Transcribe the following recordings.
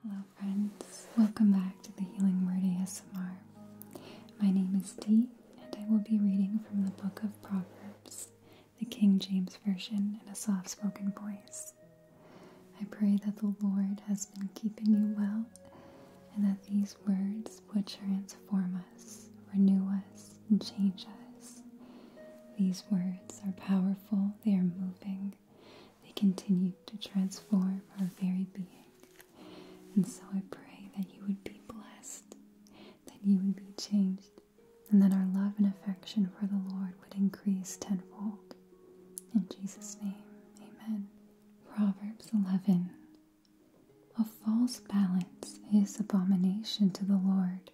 Hello friends, welcome back to the Healing Word ASMR. My name is Dee and I will be reading from the Book of Proverbs, the King James Version in a soft-spoken voice. I pray that the Lord has been keeping you well and that these words would transform us, renew us, and change us. These words are powerful, they are moving, they continue to transform our very being. And so I pray that you would be blessed, that you would be changed, and that our love and affection for the Lord would increase tenfold. In Jesus' name, amen. Proverbs 11 A false balance is abomination to the Lord,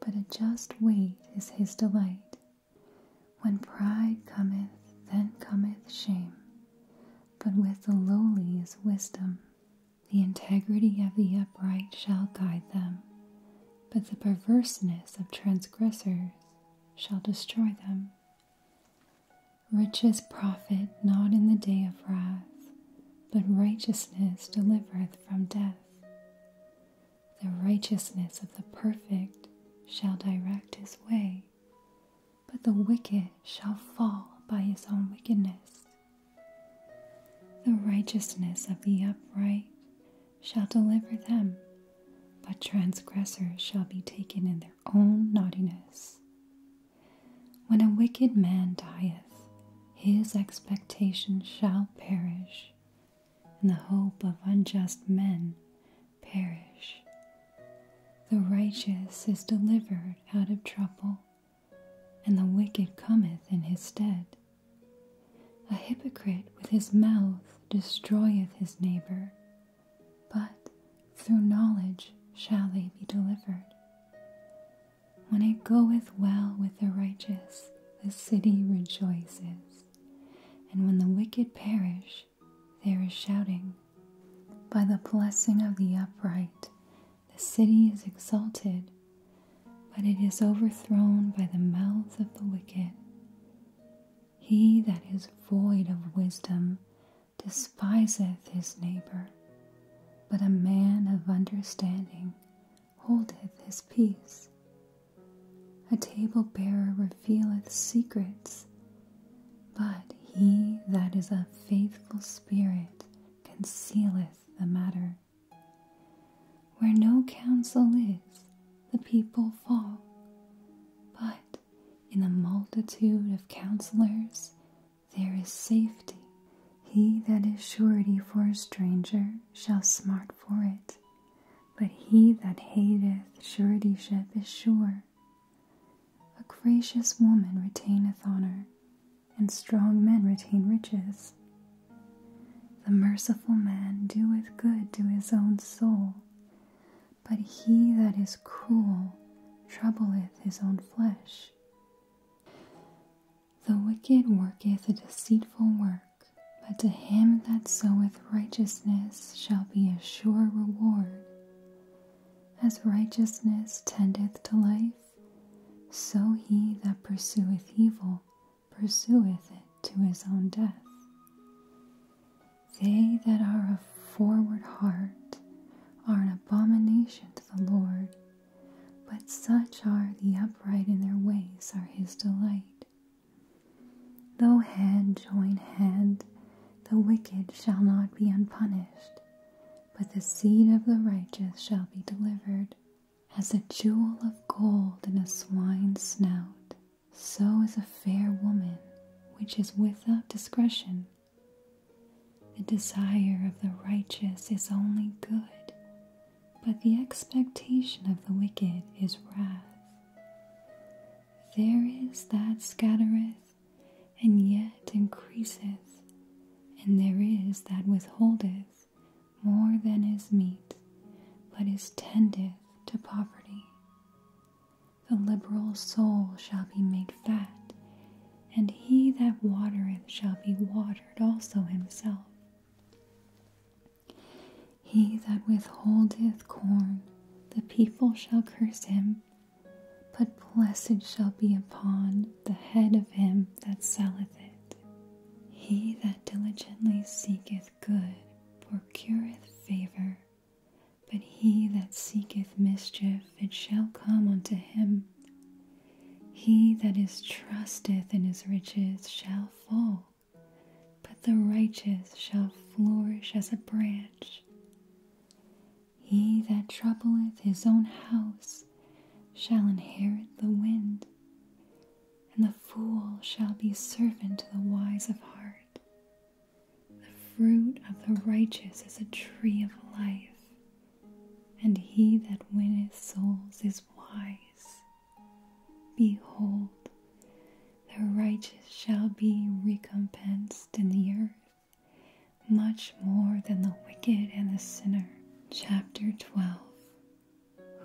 but a just weight is his delight. When pride cometh, then cometh shame, but with the lowly is wisdom. The integrity of the upright shall guide them, but the perverseness of transgressors shall destroy them. Riches profit not in the day of wrath, but righteousness delivereth from death. The righteousness of the perfect shall direct his way, but the wicked shall fall by his own wickedness. The righteousness of the upright shall deliver them, but transgressors shall be taken in their own naughtiness. When a wicked man dieth, his expectation shall perish, and the hope of unjust men perish. The righteous is delivered out of trouble, and the wicked cometh in his stead. A hypocrite with his mouth destroyeth his neighbor, but through knowledge shall they be delivered. When it goeth well with the righteous, the city rejoices, and when the wicked perish, there is shouting. By the blessing of the upright, the city is exalted, but it is overthrown by the mouth of the wicked. He that is void of wisdom despiseth his neighbor, but a man of understanding holdeth his peace. A table bearer revealeth secrets, but he that is a faithful spirit concealeth the matter. Where no counsel is, the people fall. But in the multitude of counselors there is safety. He that is surety for a stranger shall smart for it, but he that hateth suretyship is sure. A gracious woman retaineth honor, and strong men retain riches. The merciful man doeth good to his own soul, but he that is cruel troubleth his own flesh. The wicked worketh a deceitful work, but to him that soweth righteousness shall be a sure reward. As righteousness tendeth to life, so he that pursueth evil pursueth it to his own death. They that are of forward heart are an abomination to the Lord, but such are the upright in their ways are his delight. Though hand join hand, the wicked shall not be unpunished, but the seed of the righteous shall be delivered. As a jewel of gold in a swine's snout, so is a fair woman which is without discretion. The desire of the righteous is only good, but the expectation of the wicked is wrath. There is that scattereth, and yet increaseth, and there is that withholdeth more than is meet, but is tendeth to poverty. The liberal soul shall be made fat, and he that watereth shall be watered also himself. He that withholdeth corn, the people shall curse him but blessed shall be upon the head of him that selleth it. He that diligently seeketh good procureth favor, but he that seeketh mischief it shall come unto him. He that is trusteth in his riches shall fall, but the righteous shall flourish as a branch. He that troubleth his own house shall inherit the wind, and the fool shall be servant to the wise of heart. The fruit of the righteous is a tree of life, and he that winneth souls is wise. Behold, the righteous shall be recompensed in the earth, much more than the wicked and the sinner. Chapter 12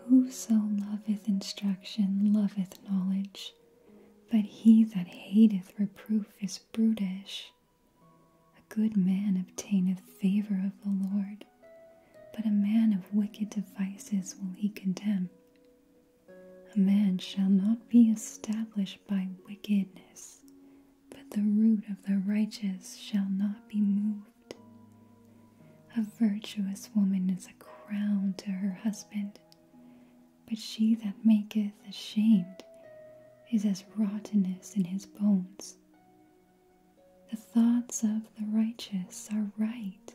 Whoso loveth instruction loveth knowledge, but he that hateth reproof is brutish. A good man obtaineth favor of the Lord, but a man of wicked devices will he condemn. A man shall not be established by wickedness, but the root of the righteous shall not be moved. A virtuous woman is a crown to her husband, but she that maketh ashamed is as rottenness in his bones. The thoughts of the righteous are right,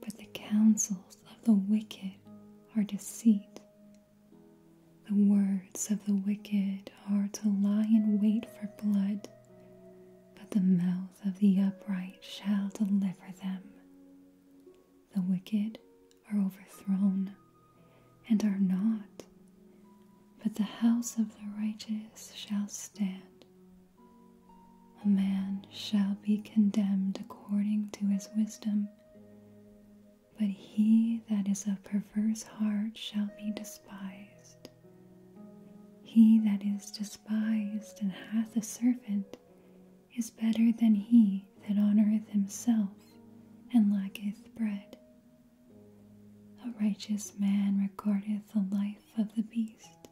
but the counsels of the wicked are deceit. The words of the wicked are to lie in wait for blood, but the mouth of the upright shall deliver them. The wicked are overthrown and are not, but the house of the righteous shall stand. A man shall be condemned according to his wisdom, but he that is of perverse heart shall be despised. He that is despised and hath a servant is better than he that honoureth himself and lacketh bread. A righteous man regardeth the life of the beast,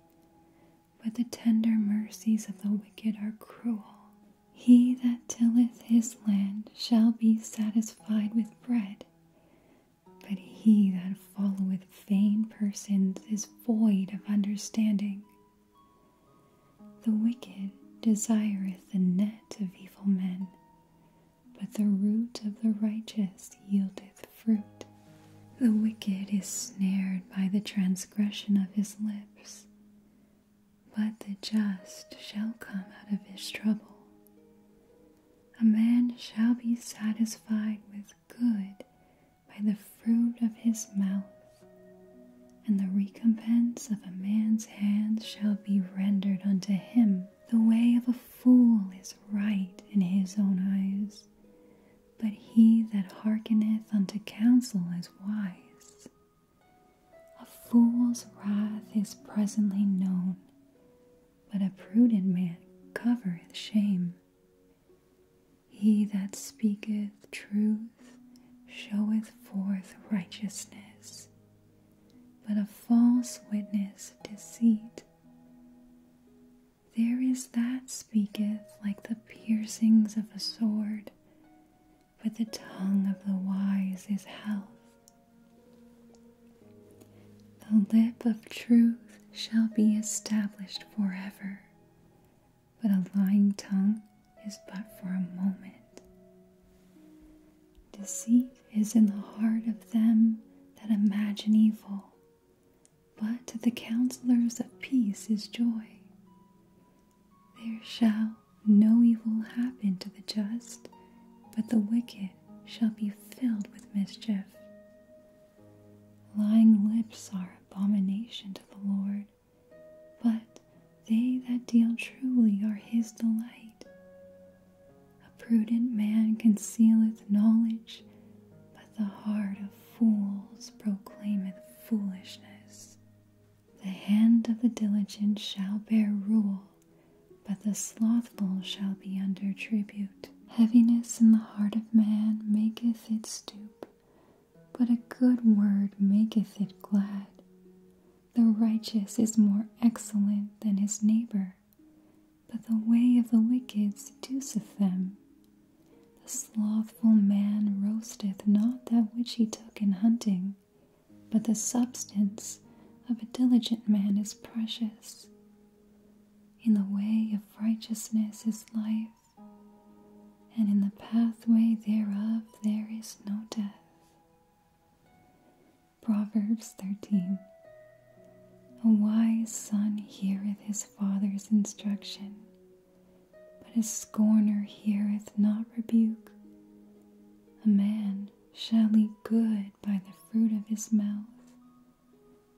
but the tender mercies of the wicked are cruel. He that tilleth his land shall be satisfied with bread, but he that followeth vain persons is void of understanding. The wicked desireth the net of evil men, but the root of the righteous yieldeth fruit. The wicked is snared by the transgression of his lips, but the just shall come out of his trouble. A man shall be satisfied with good by the fruit of his mouth, and the recompense of a man's hands shall be rendered unto him. The way of a fool is right in his own eyes, but he that hearkeneth unto counsel is wise. A fool's wrath is presently known, but a prudent man covereth shame. He that speaketh truth showeth forth righteousness, but a false witness deceit. There is that speaketh like the piercings of a sword, but the tongue of the wise is health. The lip of truth shall be established forever, but a lying tongue is but for a moment. Deceit is in the heart of them that imagine evil, but to the counselors of peace is joy. There shall no evil happen to the just, but the wicked shall be filled with mischief. Lying lips are abomination to the Lord, but they that deal truly are his delight. A prudent man concealeth knowledge, but the heart of fools proclaimeth foolishness. The hand of the diligent shall bear rule, but the slothful shall be under tribute. Heaviness in the heart of man maketh it stoop, but a good word maketh it glad. The righteous is more excellent than his neighbor, but the way of the wicked seduceth them. The slothful man roasteth not that which he took in hunting, but the substance of a diligent man is precious. In the way of righteousness is life, and in the pathway thereof there is no death. Proverbs 13 A wise son heareth his father's instruction, but a scorner heareth not rebuke. A man shall eat good by the fruit of his mouth,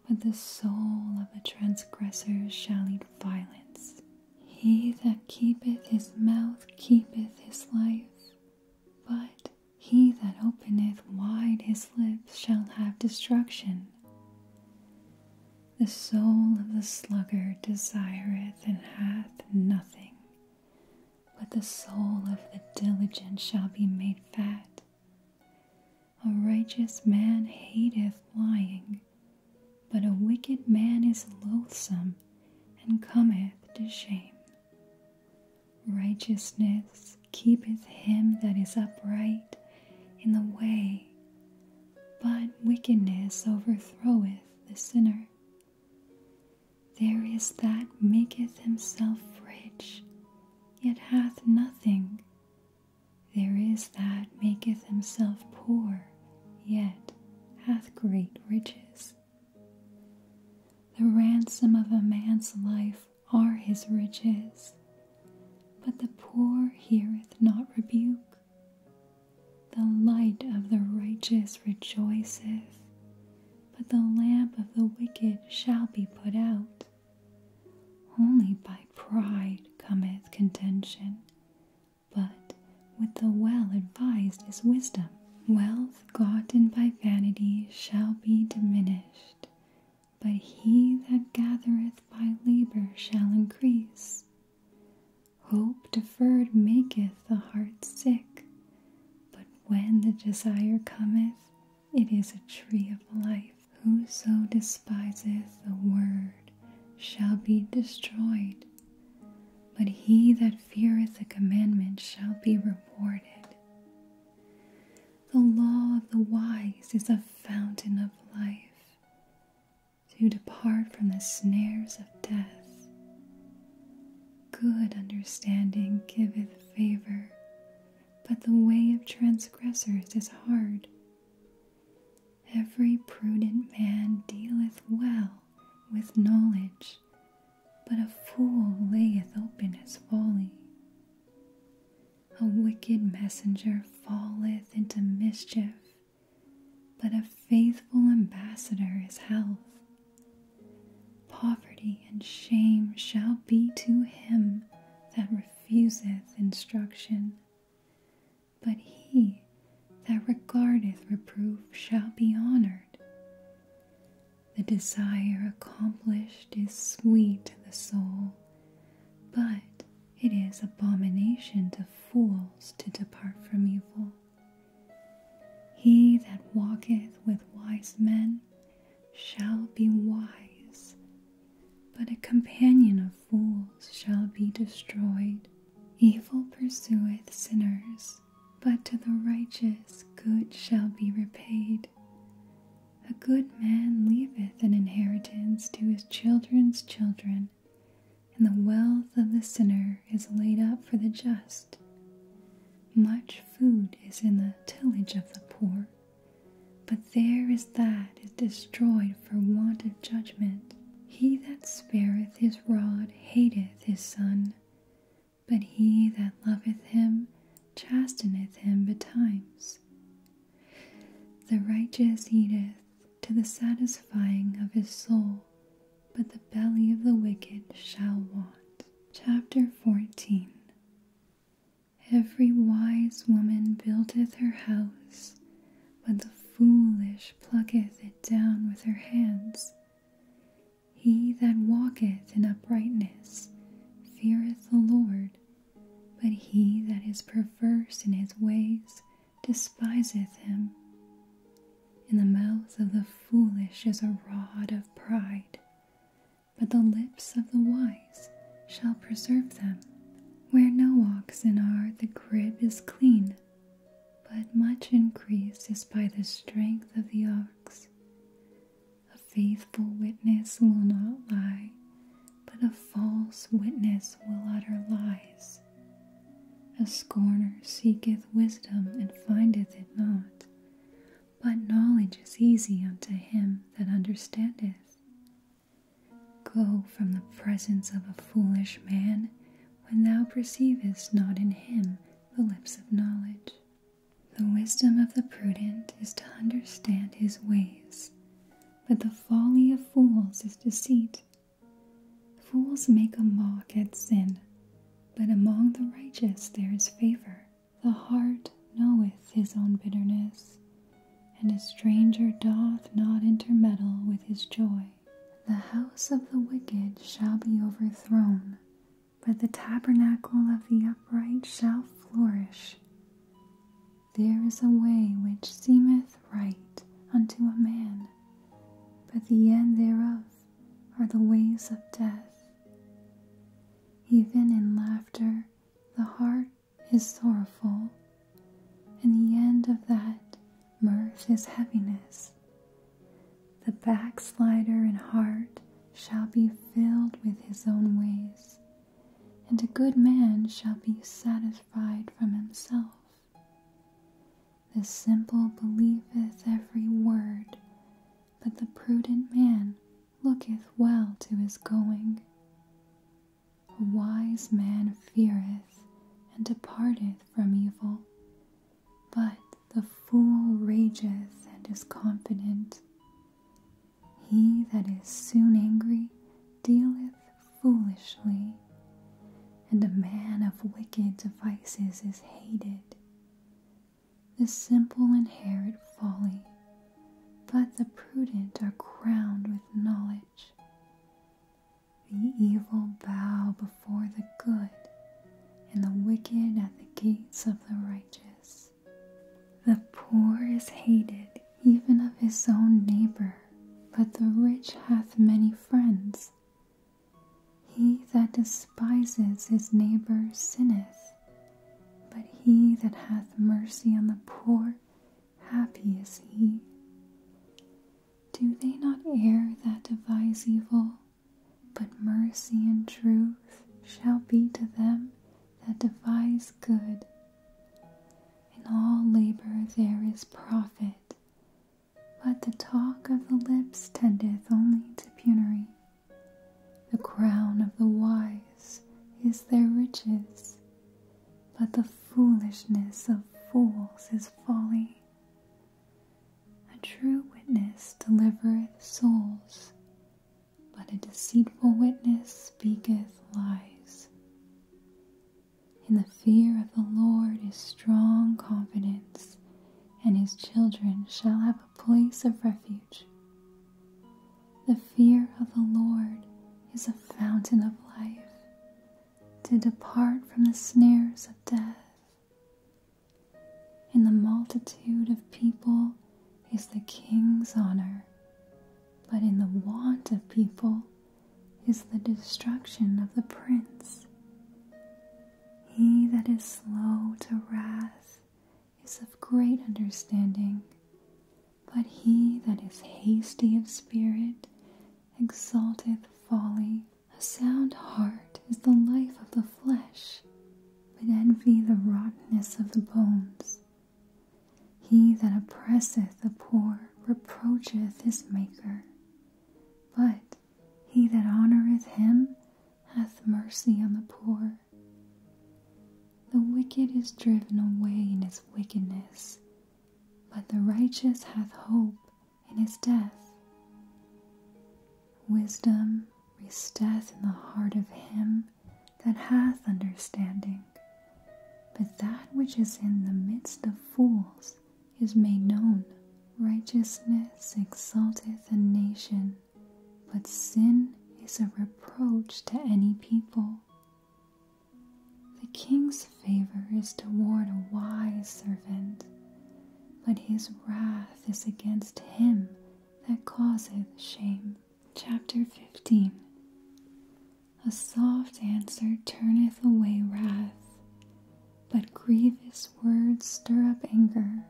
but the soul of a transgressor shall eat violence. He that keepeth his mouth keepeth his life, but he that openeth wide his lips shall have destruction. The soul of the sluggard desireth and hath nothing, but the soul of the diligent shall be made fat. A righteous man hateth lying, but a wicked man is loathsome and cometh to shame. Righteousness keepeth him that is upright in the way, but wickedness overthroweth the sinner. There is that maketh himself rich, yet hath nothing. There is that maketh himself poor, yet hath great riches. The ransom of a man's life are his riches, but the poor heareth not rebuke. The light of the righteous rejoiceth, but the lamp of the wicked shall be put out. Only by pride cometh contention, but with the well advised is wisdom. Wealth gotten by vanity shall be diminished, but he that gathereth by labor shall increase. Hope deferred maketh the heart sick, but when the desire cometh, it is a tree of life. Whoso despiseth the word shall be destroyed, but he that feareth the commandment shall be rewarded. The law of the wise is a fountain of life, to depart from the snares of death. Good understanding giveth favor, but the way of transgressors is hard. Every prudent man dealeth well with knowledge, but a fool layeth open his folly. A wicked messenger falleth into mischief, but a faithful ambassador is health. Poverty and shame shall be to him that refuseth instruction, but he that regardeth reproof shall be honored. The desire accomplished is sweet to the soul, but it is abomination to fools to depart from evil. He that walketh with wise men shall be wise, but a companion of fools shall be destroyed. Evil pursueth sinners, but to the righteous good shall be repaid. A good man leaveth an inheritance to his children's children, and the wealth of the sinner is laid up for the just. Much food is in the tillage of the poor, but there is that is destroyed for want of judgment. He that spareth his rod hateth his son, but he that loveth him chasteneth him betimes. The righteous eateth to the satisfying of his soul, but the belly of the wicked shall want. Chapter 14 Every wise woman buildeth her house, but the foolish plucketh it down with her hands. He that walketh in uprightness feareth the Lord, but he that is perverse in his ways despiseth him. In the mouth of the foolish is a rod of pride. But the lips of the wise shall preserve them. Where no oxen are, the crib is clean, but much increased is by the strength of the ox. A faithful witness will not lie, but a false witness will utter lies. A scorner seeketh wisdom and findeth it not, but knowledge is easy unto him that understandeth. Go from the presence of a foolish man when thou perceivest not in him the lips of knowledge. The wisdom of the prudent is to understand his ways, but the folly of fools is deceit. Fools make a mock at sin, but among the righteous there is favor. The heart knoweth his own bitterness, and a stranger doth not intermeddle with his joy. The house of the wicked shall be overthrown, but the tabernacle of the upright shall flourish. There is a way which seemeth right unto a man, but the end thereof are the ways of death. Even in laughter, the heart is sorrowful, and the end of that mirth is heaviness. The backslider in heart shall be filled with his own ways, and a good man shall be satisfied from himself. The simple believeth every word, but the prudent man looketh well to his going. A wise man feareth and departeth from evil, but the fool rageth and is confident. He that is soon angry dealeth foolishly, and a man of wicked devices is hated. The simple inherit folly, but the prudent are crowned with knowledge. The evil bow before the good, and the wicked at the gates of the righteous. The poor is hated even of his own neighbor, but the rich hath many friends. He that despises his neighbor sinneth, but he that hath mercy on the poor, happy is he. Do they not err that devise evil? But mercy and truth shall be to them that devise good. In all labor there is profit, but the talk of the lips tendeth only to penury. The crown of the wise is their riches, but the foolishness of fools is folly. A true witness delivereth souls, but a deceitful witness speaketh lies. In the fear of the Lord is strong confidence, and his children shall have a place of refuge. The fear of the Lord is a fountain of life to depart from the snares of death. In the multitude of people is the king's honor, but in the want of people is the destruction of the prince. He that is slow to wrath is of great understanding, but he that is hasty of spirit exalteth folly. A sound heart is the life of the flesh, but envy the rottenness of the bones. He that oppresseth the poor reproacheth his Maker, but he that honoureth him hath mercy on the poor. The wicked is driven away in his wickedness, but the righteous hath hope in his death. Wisdom resteth in the heart of him that hath understanding, but that which is in the midst of fools is made known. Righteousness exalteth a nation, but sin is a reproach to any people. The king's favor is toward a wise servant, but his wrath is against him that causeth shame. Chapter 15 A soft answer turneth away wrath, but grievous words stir up anger.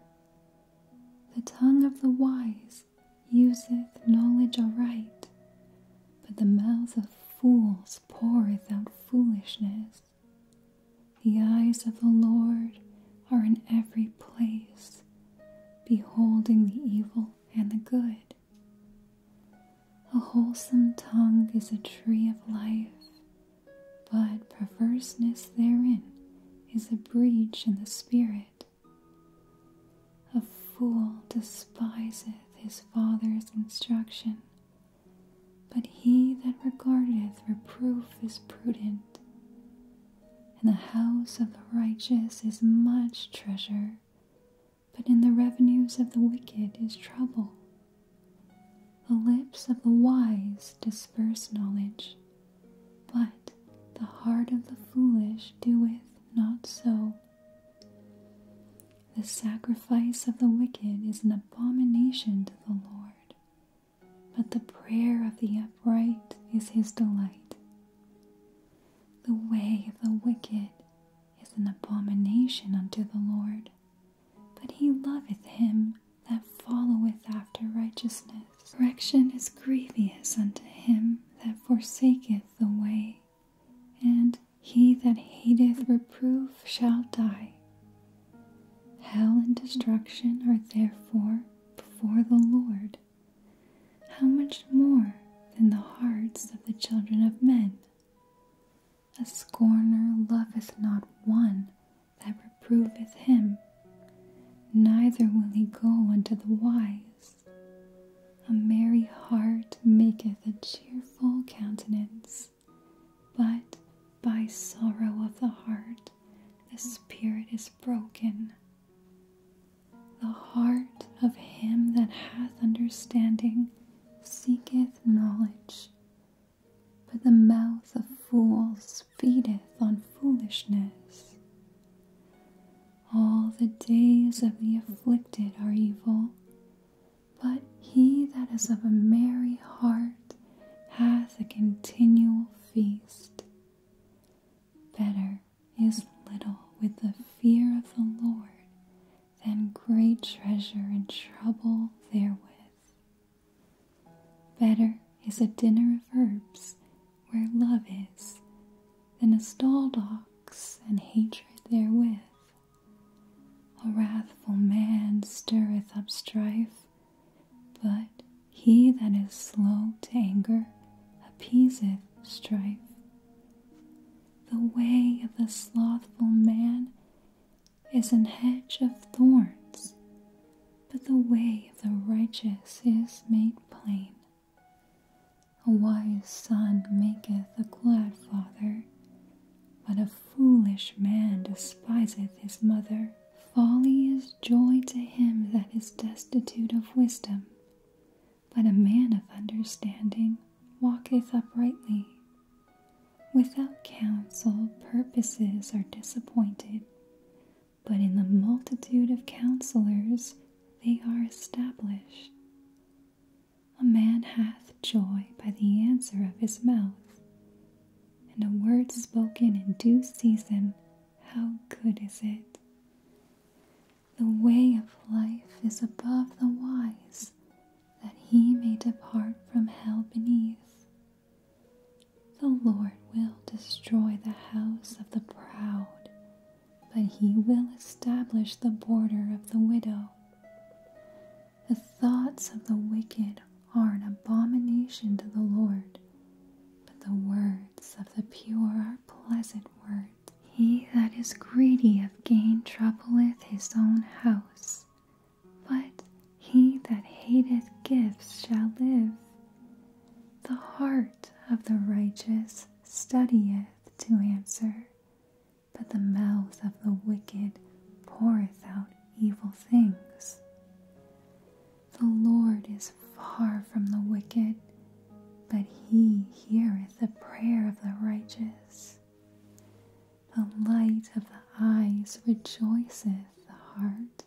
The tongue of the wise useth knowledge aright, but the mouth of fools poureth out foolishness. The eyes of the Lord are in every place, beholding the evil and the good. A wholesome tongue is a tree of life, but perverseness therein is a breach in the spirit. A fool despiseth his father's instruction, but he that regardeth reproof is prudent. In the house of the righteous is much treasure, but in the revenues of the wicked is trouble. The lips of the wise disperse knowledge, but the heart of the foolish doeth not so. The sacrifice of the wicked is an abomination to the Lord, but the prayer of the upright is his delight. The way of the wicked is an abomination unto the Lord, but he loveth him that followeth after righteousness. Correction is grievous unto him that forsaketh the way, and he that hateth reproof shall die. Hell and destruction are therefore before the Lord. How much more than the hearts of the children of men? A scorner loveth not one that reproveth him, neither will he go unto the wise. A merry heart maketh a cheerful countenance, but by sorrow of the heart the spirit is broken. The heart of him that hath understanding seeketh knowledge, but the mouth of fools feedeth on foolishness. All the days of the afflicted are evil, but he that is of a merry heart hath a continual feast. Better is little with the fear of the Lord than great treasure and trouble therewith. Better is a dinner of herbs where love is then a stalled ox and hatred therewith. A wrathful man stirreth up strife, but he that is slow to anger appeaseth strife. The way of the slothful man is an hedge of thorns, but the way of the righteous is made plain. A wise son maketh a glad father, but a foolish man despiseth his mother. Folly is joy to him that is destitute of wisdom, but a man of understanding walketh uprightly. Without counsel, purposes are disappointed, but in the multitude of counselors they are established. A man hath joy by the answer of his mouth, and a word spoken in due season, how good is it! The way of life is above the wise, that he may depart from hell beneath. The Lord will destroy the house of the proud, but he will establish the border of the widow. The thoughts of the wicked are an abomination to the Lord, but the words of the pure are pleasant words. He that is greedy of gain troubleth his own house, but he that hateth gifts shall live. The heart of the righteous studieth to answer, but the mouth of the wicked poureth out evil things. The Lord is far from the wicked, but he heareth the prayer of the righteous. The light of the eyes rejoiceth the heart,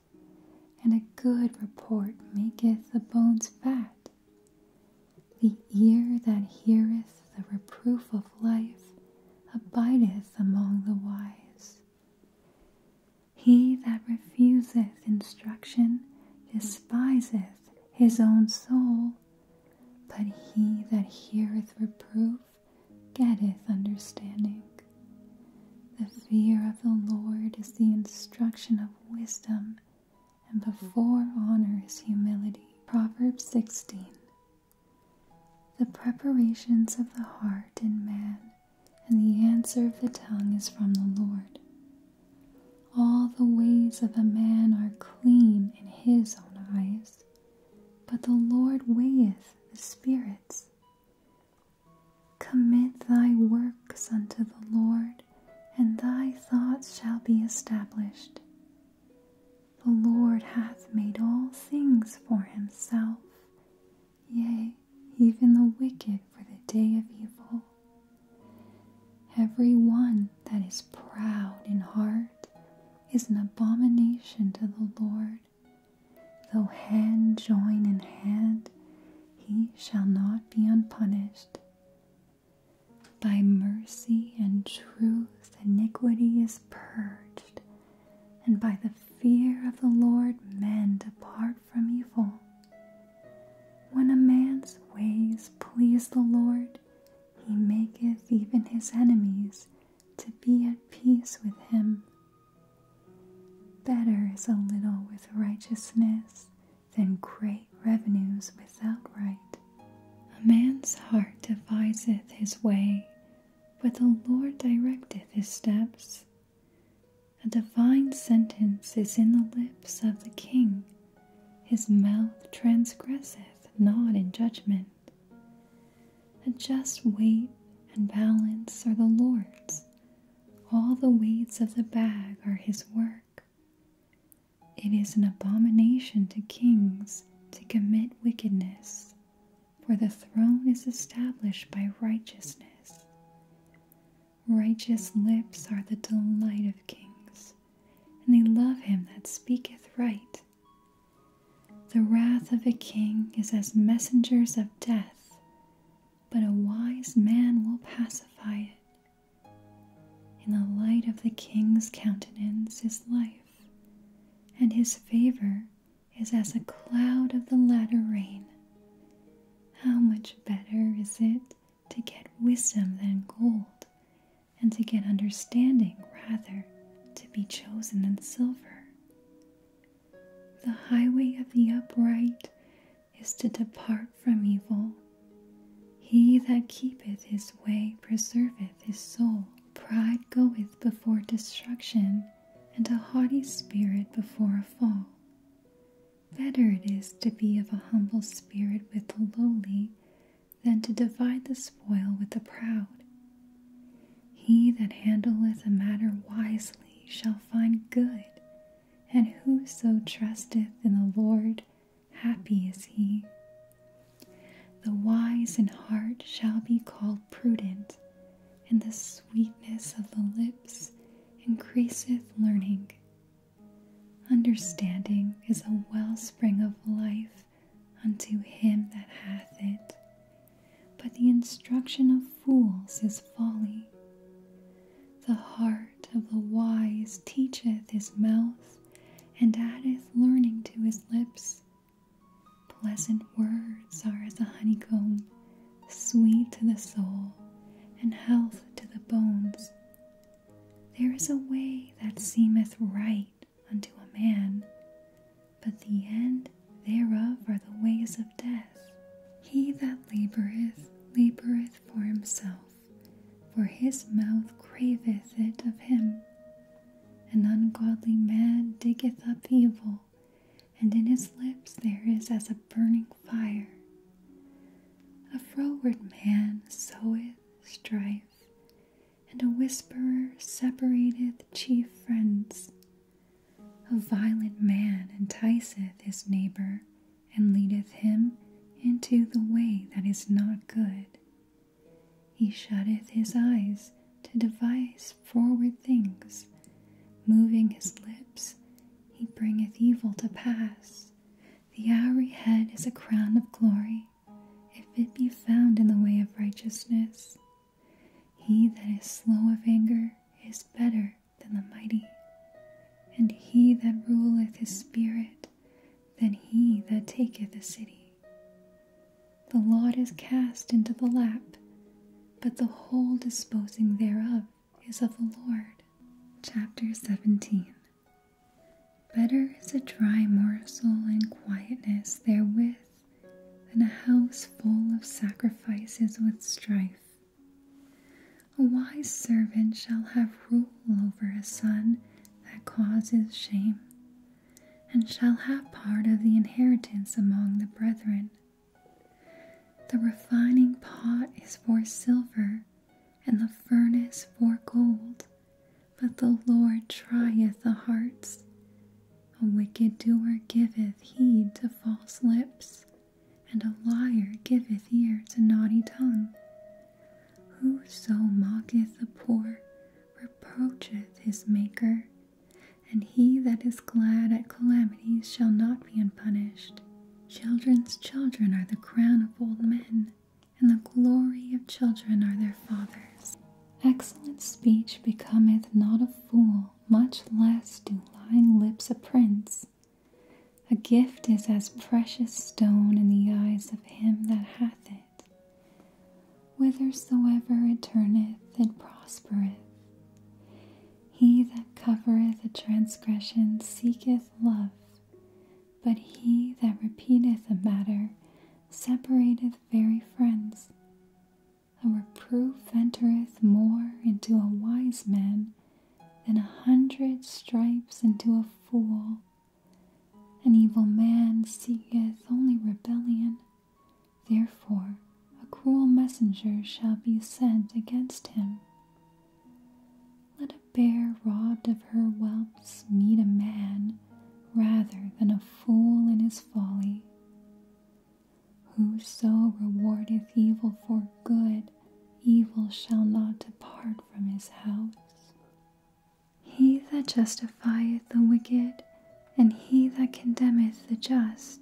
and a good report maketh the bones fat. The ear that heareth the reproof of life abideth among the wise. He that refuseth instruction despiseth his own soul, but he that heareth reproof getteth understanding. The fear of the Lord is the instruction of wisdom and before honor is humility. Proverbs 16. The preparations of the heart in man, and the answer of the tongue is from the Lord. All the ways of a man are clean in his own eyes, but the Lord weigheth the spirits. Commit thy works unto the Lord, and thy thoughts shall be established. The Lord hath made all things for himself, yea, even the wicked for the day of evil. Every one that is proud in heart is an abomination to the Lord. Though hand join in hand, he shall not be unpunished. By mercy and truth, iniquity is purged, and by the fear of the Lord, men depart from evil. When a man's ways please the Lord, he maketh even his enemies to be at peace with him. Better is a little with righteousness than great revenues without right. A man's heart deviseth his way, but the Lord directeth his steps. A divine sentence is in the lips of the king, his mouth transgresseth not in judgment. A just weight and balance are the Lord's, all the weights of the bag are his work. It is an abomination to kings to commit wickedness, for the throne is established by righteousness. Righteous lips are the delight of kings, and they love him that speaketh right. The wrath of a king is as messengers of death, but a wise man will pacify it. In the light of the king's countenance is life, and his favor is as a cloud of the latter rain. How much better is it to get wisdom than gold, and to get understanding rather to be chosen than silver? The highway of the upright is to depart from evil. He that keepeth his way preserveth his soul. Pride goeth before destruction, and a haughty spirit before a fall. Better it is to be of a humble spirit with the lowly than to divide the spoil with the proud. He that handleth a matter wisely shall find good, and whoso trusteth in the Lord Happy is he. The wise in heart shall be called prudent, and the sweetness of the lips increaseth learning. Understanding is a wellspring of life unto him that hath it, but the instruction of fools is folly. The heart of the wise teacheth his mouth, and addeth learning to his lips. Pleasant words are as a honeycomb, sweet to the soul, and health to the bones. There is a way that seemeth right unto a man, but the end thereof are the ways of death. He that laboureth laboureth for himself, for his mouth craveth it of him. An ungodly man diggeth up evil, and in his lips there is as a burning fire. A froward man soweth strife, and a whisperer separateth chief friends. A violent man enticeth his neighbor, and leadeth him into the way that is not good. He shutteth his eyes to devise forward things, moving his lips, he bringeth evil to pass. The hoary head is a crown of glory, if it be found in the way of righteousness. He that is slow of anger is better than the mighty, and he that ruleth his spirit than he that taketh a city. The lot is cast into the lap, but the whole disposing thereof is of the Lord. Chapter 17 Better is a dry morsel in quietness therewith than a house full of sacrifices with strife. A wise servant shall have rule over a son that causes shame, and shall have part of the inheritance among the brethren. The refining pot is for silver, and the furnace for gold, but the Lord trieth the hearts. A wicked doer giveth heed to false lips, and a liar giveth ear to naughty tongue. Whoso mocketh the poor reproacheth his Maker, and he that is glad at calamities shall not be unpunished. Children's children are the crown of old men, and the glory of children are their fathers. Excellent speech becometh not a fool, much less do lying lips a prince. A gift is as precious stone in the eyes of him that hath it. Whithersoever it turneth, it prospereth. He that covereth a transgression seeketh love, but he that repeateth a matter separateth very friends. A reproof entereth more into a wise man than a hundred stripes into a fool. An evil man seeketh only rebellion, therefore a cruel messenger shall be sent against him. Let a bear robbed of her whelps meet a man rather than a fool in his folly. Whoso rewardeth evil for good, evil shall not depart from his house. He that justifieth the wicked, and he that condemneth the just,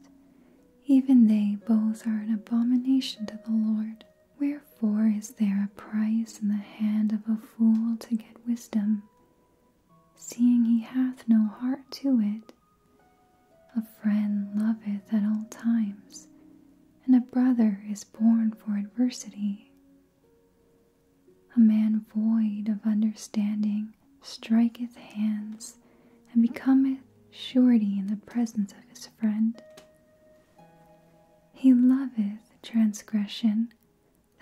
even they both are an abomination to the Lord. Wherefore is there a price in the hand of a fool to get wisdom, seeing he hath no heart to it? A friend loveth at all times, and a brother is born for adversity. A man void of understanding striketh hands and becometh surety in the presence of his friend. He loveth transgression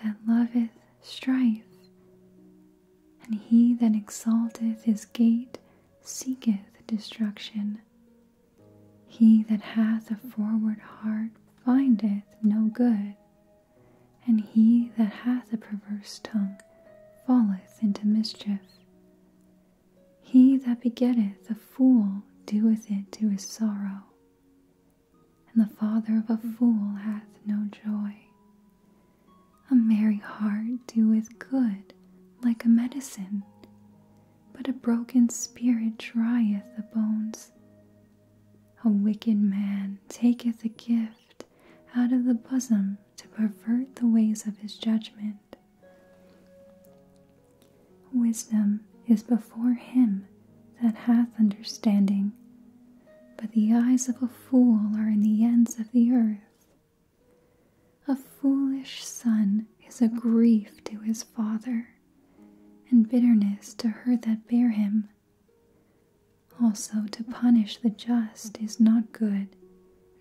that loveth strife, and he that exalteth his gate seeketh destruction. He that hath a forward heart findeth no good, and he that hath a perverse tongue falleth into mischief. He that begetteth a fool doeth it to his sorrow, and the father of a fool hath no joy. A merry heart doeth good like a medicine, but a broken spirit drieth the bones. A wicked man taketh a gift out of the bosom to pervert the ways of his judgment. Wisdom is before him that hath understanding, but the eyes of a fool are in the ends of the earth. A foolish son is a grief to his father, and bitterness to her that bare him. Also, to punish the just is not good,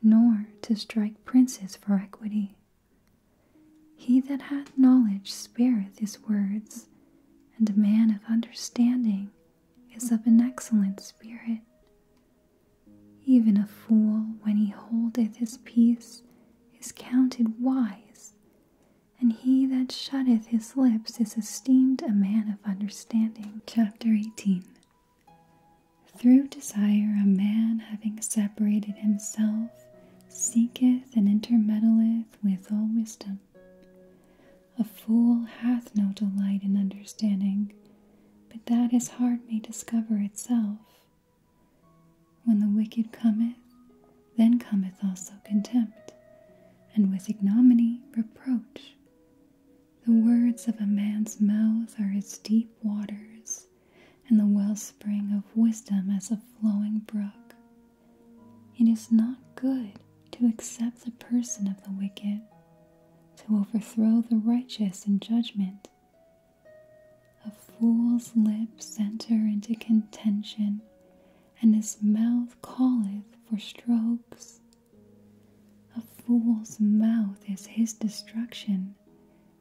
nor to strike princes for equity. He that hath knowledge spareth his words, and a man of understanding is of an excellent spirit. Even a fool, when he holdeth his peace, is counted wise, and he that shutteth his lips is esteemed a man of understanding. Chapter 18 Through desire a man having separated himself seeketh and intermeddleth with all wisdom. A fool hath no delight in understanding, but that his heart may discover itself. When the wicked cometh, then cometh also contempt, and with ignominy reproach. The words of a man's mouth are as deep waters, and the wellspring of wisdom as a flowing brook. It is not good to accept the person of the wicked, to overthrow the righteous in judgment. A fool's lips enter into contention, and his mouth calleth for strokes. A fool's mouth is his destruction,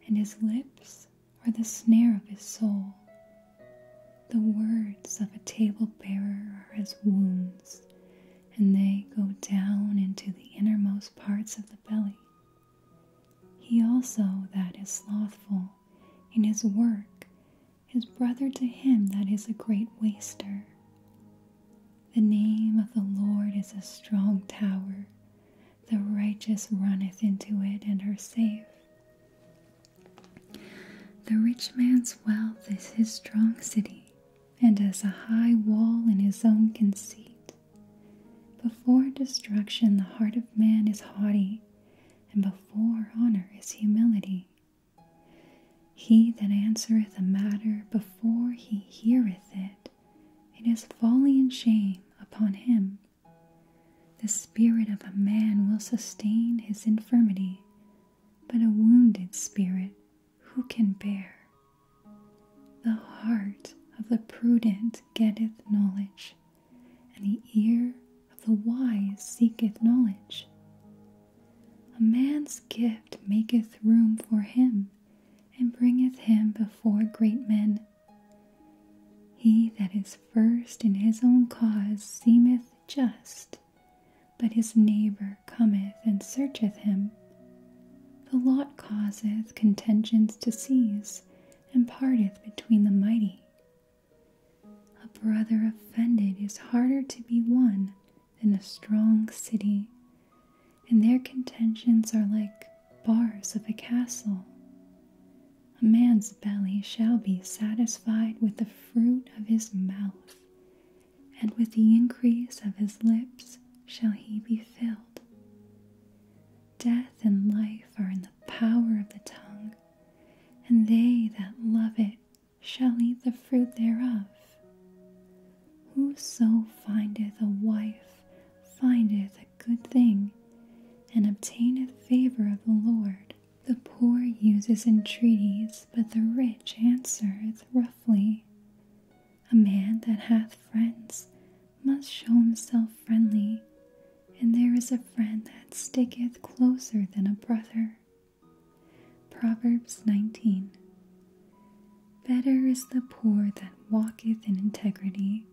and his lips are the snare of his soul. The words of a table bearer are as wounds, and they go down into the innermost parts of the belly. He also that is slothful in his work is brother to him that is a great waster. The name of the Lord is a strong tower. The righteous runneth into it and are safe. The rich man's wealth is his strong city, and as a high wall in his own conceit. Before destruction, the heart of man is haughty, and before honor is humility. He that answereth a matter before he heareth it, it is folly and shame upon him. The spirit of a man will sustain his infirmity, but a wounded spirit who can bear? The heart of the prudent getteth knowledge, and the ear of the wise seeketh knowledge. A man's gift maketh room for him, and bringeth him before great men. He that is first in his own cause seemeth just, but his neighbor cometh and searcheth him. The lot causeth contentions to cease, and parteth between the mighty. A brother offended is harder to be won than a strong city, and their contentions are like bars of a castle. A man's belly shall be satisfied with the fruit of his mouth, and with the increase of his lips shall he be filled. Death and life are in the power of the tongue, and they that love it shall eat the fruit thereof. Whoso findeth a wife findeth a good thing, and obtaineth favor of the Lord. The poor uses entreaties, but the rich answereth roughly. A man that hath friends must show himself friendly, and there is a friend that sticketh closer than a brother. Proverbs 19 Better is the poor that walketh in integrity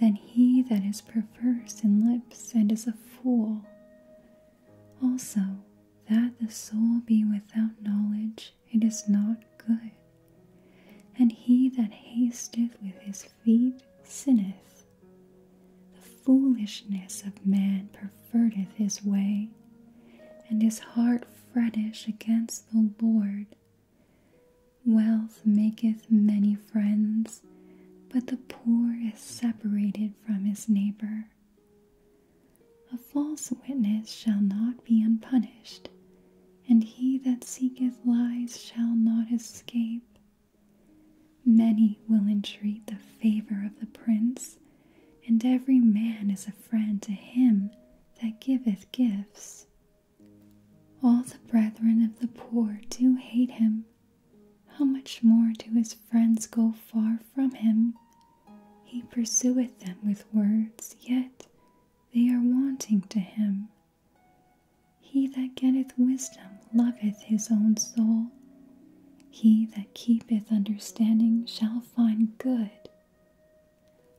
than he that is perverse in lips and is a fool. Also, that the soul be without knowledge, it is not good. And he that hasteth with his feet sinneth. The foolishness of man perverteth his way, and his heart fretteth against the Lord. Wealth maketh many friends, but the poor is separated from his neighbor. A false witness shall not be unpunished, and he that seeketh lies shall not escape. Many will entreat the favor of the prince, and every man is a friend to him that giveth gifts. All the brethren of the poor do hate him. How much more do his friends go far from him? He pursueth them with words, yet they are wanting to him. He that getteth wisdom loveth his own soul, he that keepeth understanding shall find good.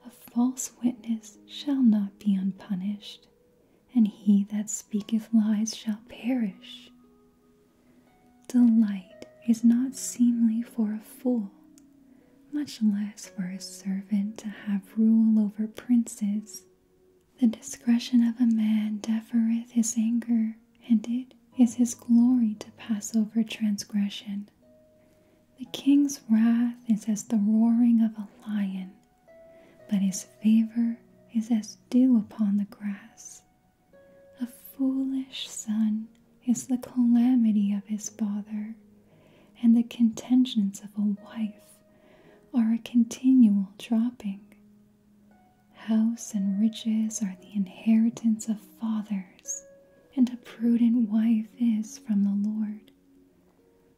A false witness shall not be unpunished, and he that speaketh lies shall perish. Delight is not seemly for a fool, much less for a servant to have rule over princes. The discretion of a man defereth his anger, and it is his glory to pass over transgression. The king's wrath is as the roaring of a lion, but his favor is as dew upon the grass. A foolish son is the calamity of his father, and the contentions of a wife are a continual dropping. House and riches are the inheritance of fathers, and a prudent wife is from the Lord.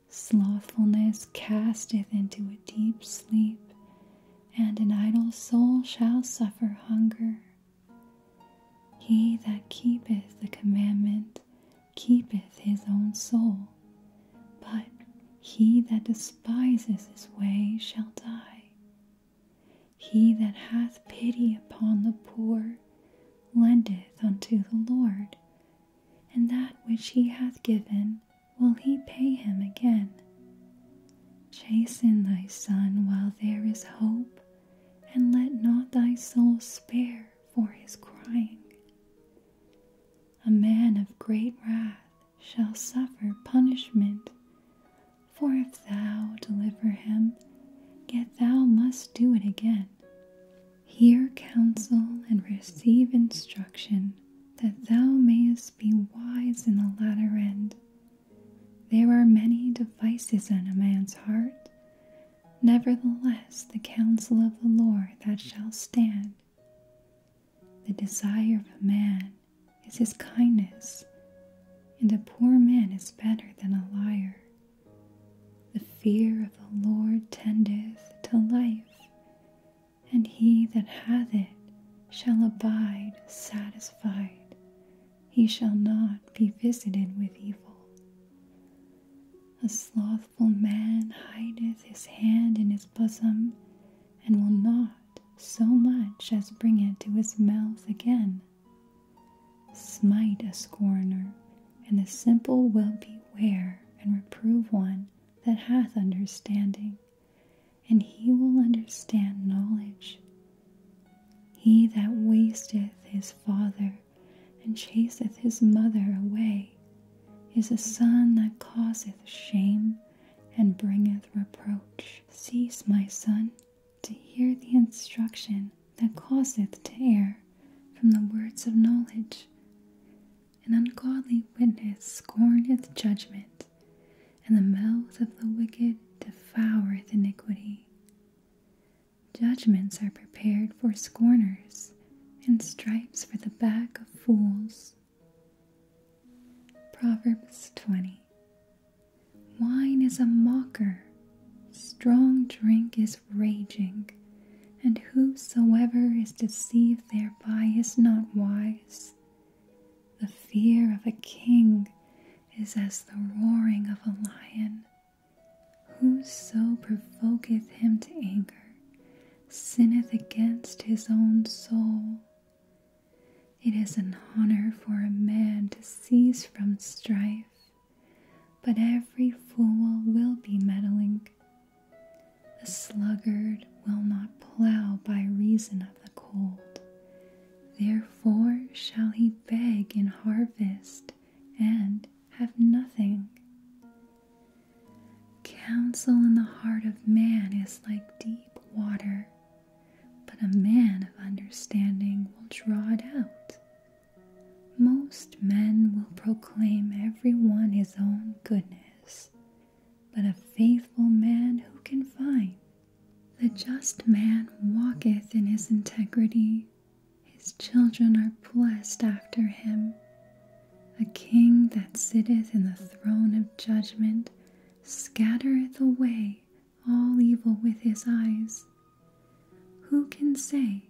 Slothfulness casteth into a deep sleep, and an idle soul shall suffer hunger. He that keepeth the commandment keepeth his own soul, but he that despiseth his way shall die. He that hath pity upon the poor lendeth unto the Lord, and that which he hath given will he pay him again. Chasten thy son while there is hope, and let not thy soul spare for his crying. A man of great wrath shall suffer punishment. For if thou deliver him, yet thou must do it again. Hear counsel and receive instruction, that thou mayest be wise in the latter end. There are many devices in a man's heart. Nevertheless, the counsel of the Lord that shall stand. The desire of a man is his kindness, and a poor man is better than a liar. The fear of the Lord tendeth to life, and he that hath it shall abide satisfied. He shall not be visited with evil. A slothful man hideth his hand in his bosom, and will not so much as bring it to his mouth again. Smite a scorner, and the simple will beware and reprove one that hath understanding, and he will understand knowledge. He that wasteth his father and chaseth his mother away is a son that causeth shame and bringeth reproach. Cease, my son, to hear the instruction that causeth to err from the words of knowledge. An ungodly witness scorneth judgment, and the mouth of the wicked devoureth iniquity. Judgments are prepared for scorners, and stripes for the back of fools. Proverbs 20 Wine is a mocker, strong drink is raging, and whosoever is deceived thereby is not wise. The fear of a king is as the roaring of a lion. Whoso provoketh him to anger sinneth against his own soul. It is an honor for a man to cease from strife, but every fool will be meddling. The sluggard will not plough by reason of the cold. Therefore shall he beg in harvest and have nothing. Counsel in the heart of man is like deep water, but a man of understanding will draw it out. Most men will proclaim every one his own goodness, but a faithful man who can find? The just man walketh in his integrity, his children are blessed after him. A king that sitteth in the throne of judgment scattereth away all evil with his eyes. Who can say,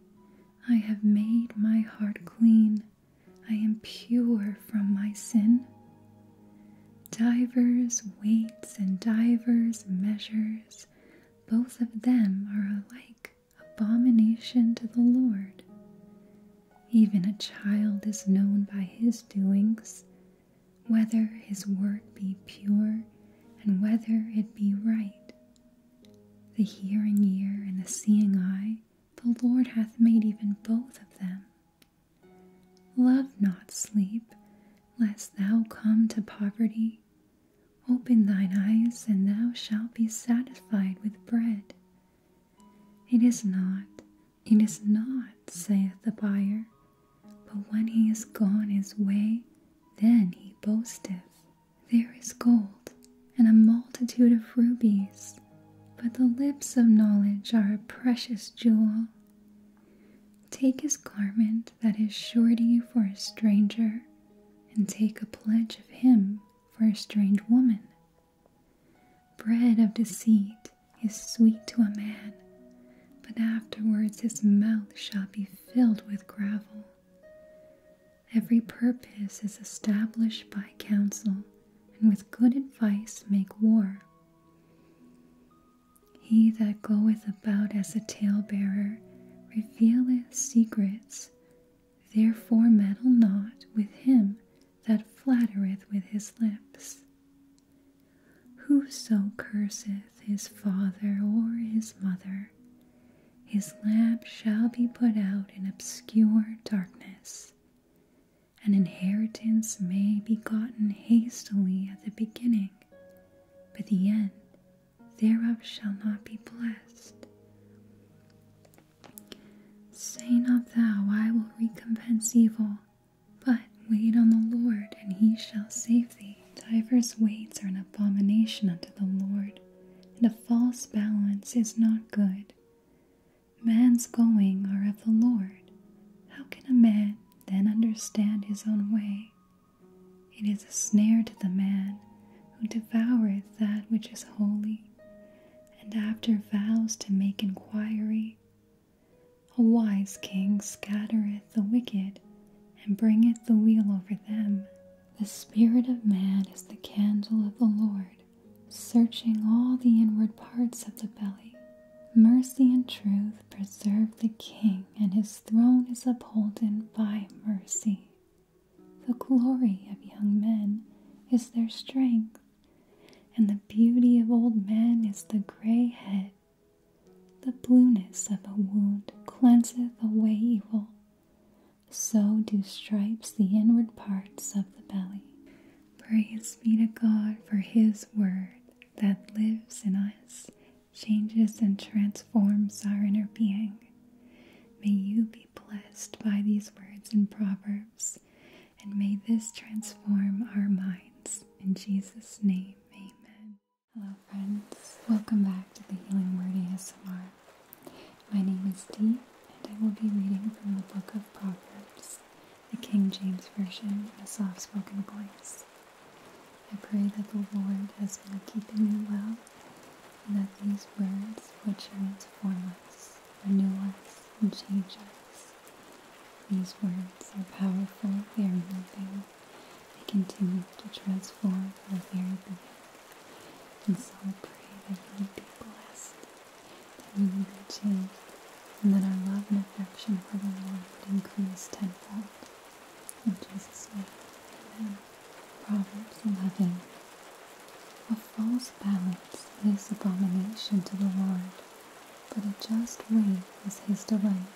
I have made my heart clean, I am pure from my sin? Divers weights and divers measures, both of them are alike abomination to the Lord. Even a child is known by his doings, whether his work be pure and whether it be right. The hearing ear and the seeing eye, the Lord hath made even both of them. Love not sleep, lest thou come to poverty. Open thine eyes, and thou shalt be satisfied with bread. It is not it is not, saith the buyer, but when he is gone his way, then he boasteth. There is gold and a multitude of rubies, but the lips of knowledge are a precious jewel. Take his garment that is surety for a stranger, and take a pledge of him for a strange woman. Bread of deceit is sweet to a man, but afterwards his mouth shall be filled with gravel. Every purpose is established by counsel, and with good advice make war. He that goeth about as a tale bearer, revealeth secrets. Therefore meddle not with him that flattereth with his lips. Whoso curseth his father or his mother, his lamp shall be put out in obscure darkness. An inheritance may be gotten hastily at the beginning, but the end thereof shall not be blessed. Say not thou, I will recompense evil, but wait on the Lord, and he shall save thee. Divers weights are an abomination unto the Lord, and a false balance is not good. Man's going are of the Lord. How can a man then understand his own way? It is a snare to the man who devoureth that which is holy, and after vows to make inquiry, a wise king scattereth the wicked, and bringeth the wheel over them. The spirit of man is the candle of the Lord, searching all the inward parts of the belly. Mercy and truth preserve the king, and his throne is upholden by mercy. The glory of young men is their strength, and the beauty of old men is the gray head the blueness of a wound cleanseth away evil, so do stripes the inward parts of the belly. Praise be to God for His Word that lives in us, changes and transforms our inner being. May you be blessed by these words and proverbs, and may this transform our minds. In Jesus' name, amen. Hello friends, welcome back to the Healing Word ASMR. My name is Dee and I will be reading from the Book of Proverbs, the King James Version in a soft-spoken voice. I pray that the Lord has been keeping you well and that these words would transform us, renew us, and change us. These words are powerful, they are moving, I continue to transform my very being and so we pray that you would be blessed, that you would be changed, and that our love and affection for the Lord would increase tenfold. In Jesus' name, amen. Proverbs 11 A false balance is abomination to the Lord, but a just weight is his delight.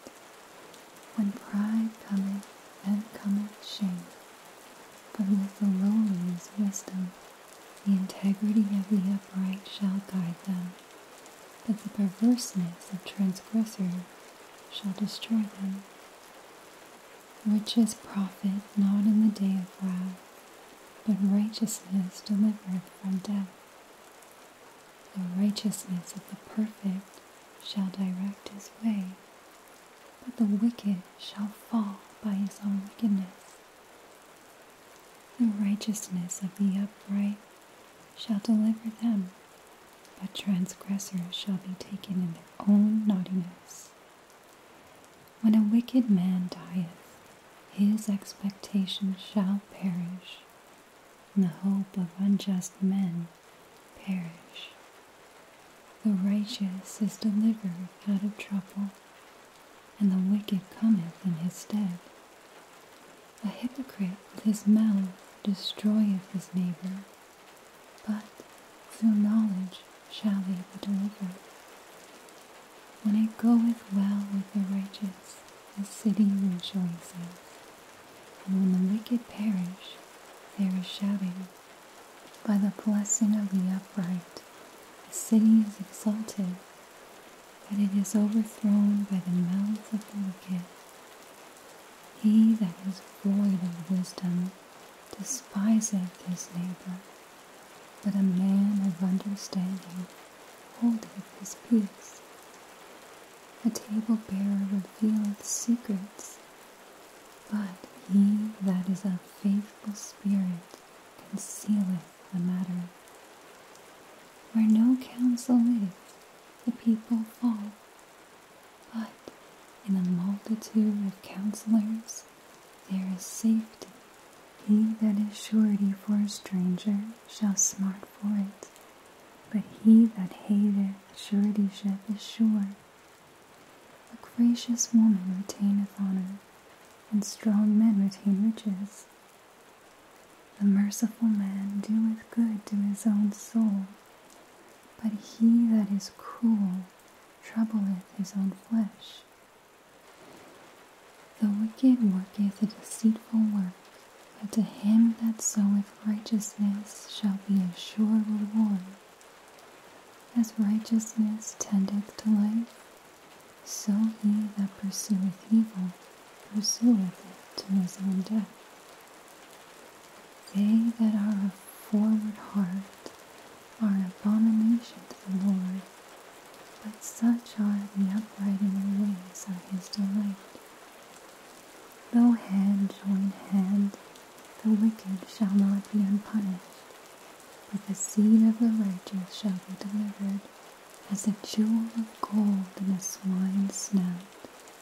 When pride cometh, then cometh shame. But with the lowly is wisdom. The integrity of the upright shall guide them. But the perverseness of transgressors shall destroy them. Riches profit not in the day of wrath, but righteousness delivereth from death. The righteousness of the perfect shall direct his way, but the wicked shall fall by his own wickedness. The righteousness of the upright shall deliver them, but transgressors shall be taken in their own naughtiness. When a wicked man dieth, his expectation shall perish, and the hope of unjust men perish. The righteous is delivered out of trouble, and the wicked cometh in his stead. A hypocrite with his mouth destroyeth his neighbor, but through knowledge shall he be delivered. When it goeth well with the righteous, the city rejoices and when the wicked perish, there is shouting. By the blessing of the upright, the city is exalted, but it is overthrown by the mouths of the wicked. He that is void of wisdom despiseth his neighbor, but a man of understanding holdeth his peace a table bearer revealeth secrets. But he that is of faithful spirit concealeth the matter. Where no counsel is, the people fall. But in a multitude of counselors there is safety. He that is surety for a stranger shall smart for it. But he that hateth suretyship is sure. A gracious woman retaineth honor, and strong men retain riches. The merciful man doeth good to his own soul, but he that is cruel troubleth his own flesh. The wicked worketh a deceitful work, but to him that soweth righteousness shall be a sure reward. As righteousness tendeth to life, so he that pursueth evil pursueth it to his own death. They that are of forward heart are an abomination to the Lord, but such are the upright in the ways of his delight. Though hand join hand, the wicked shall not be unpunished, but the seed of the righteous shall be delivered. As a jewel of gold in a swine's snout,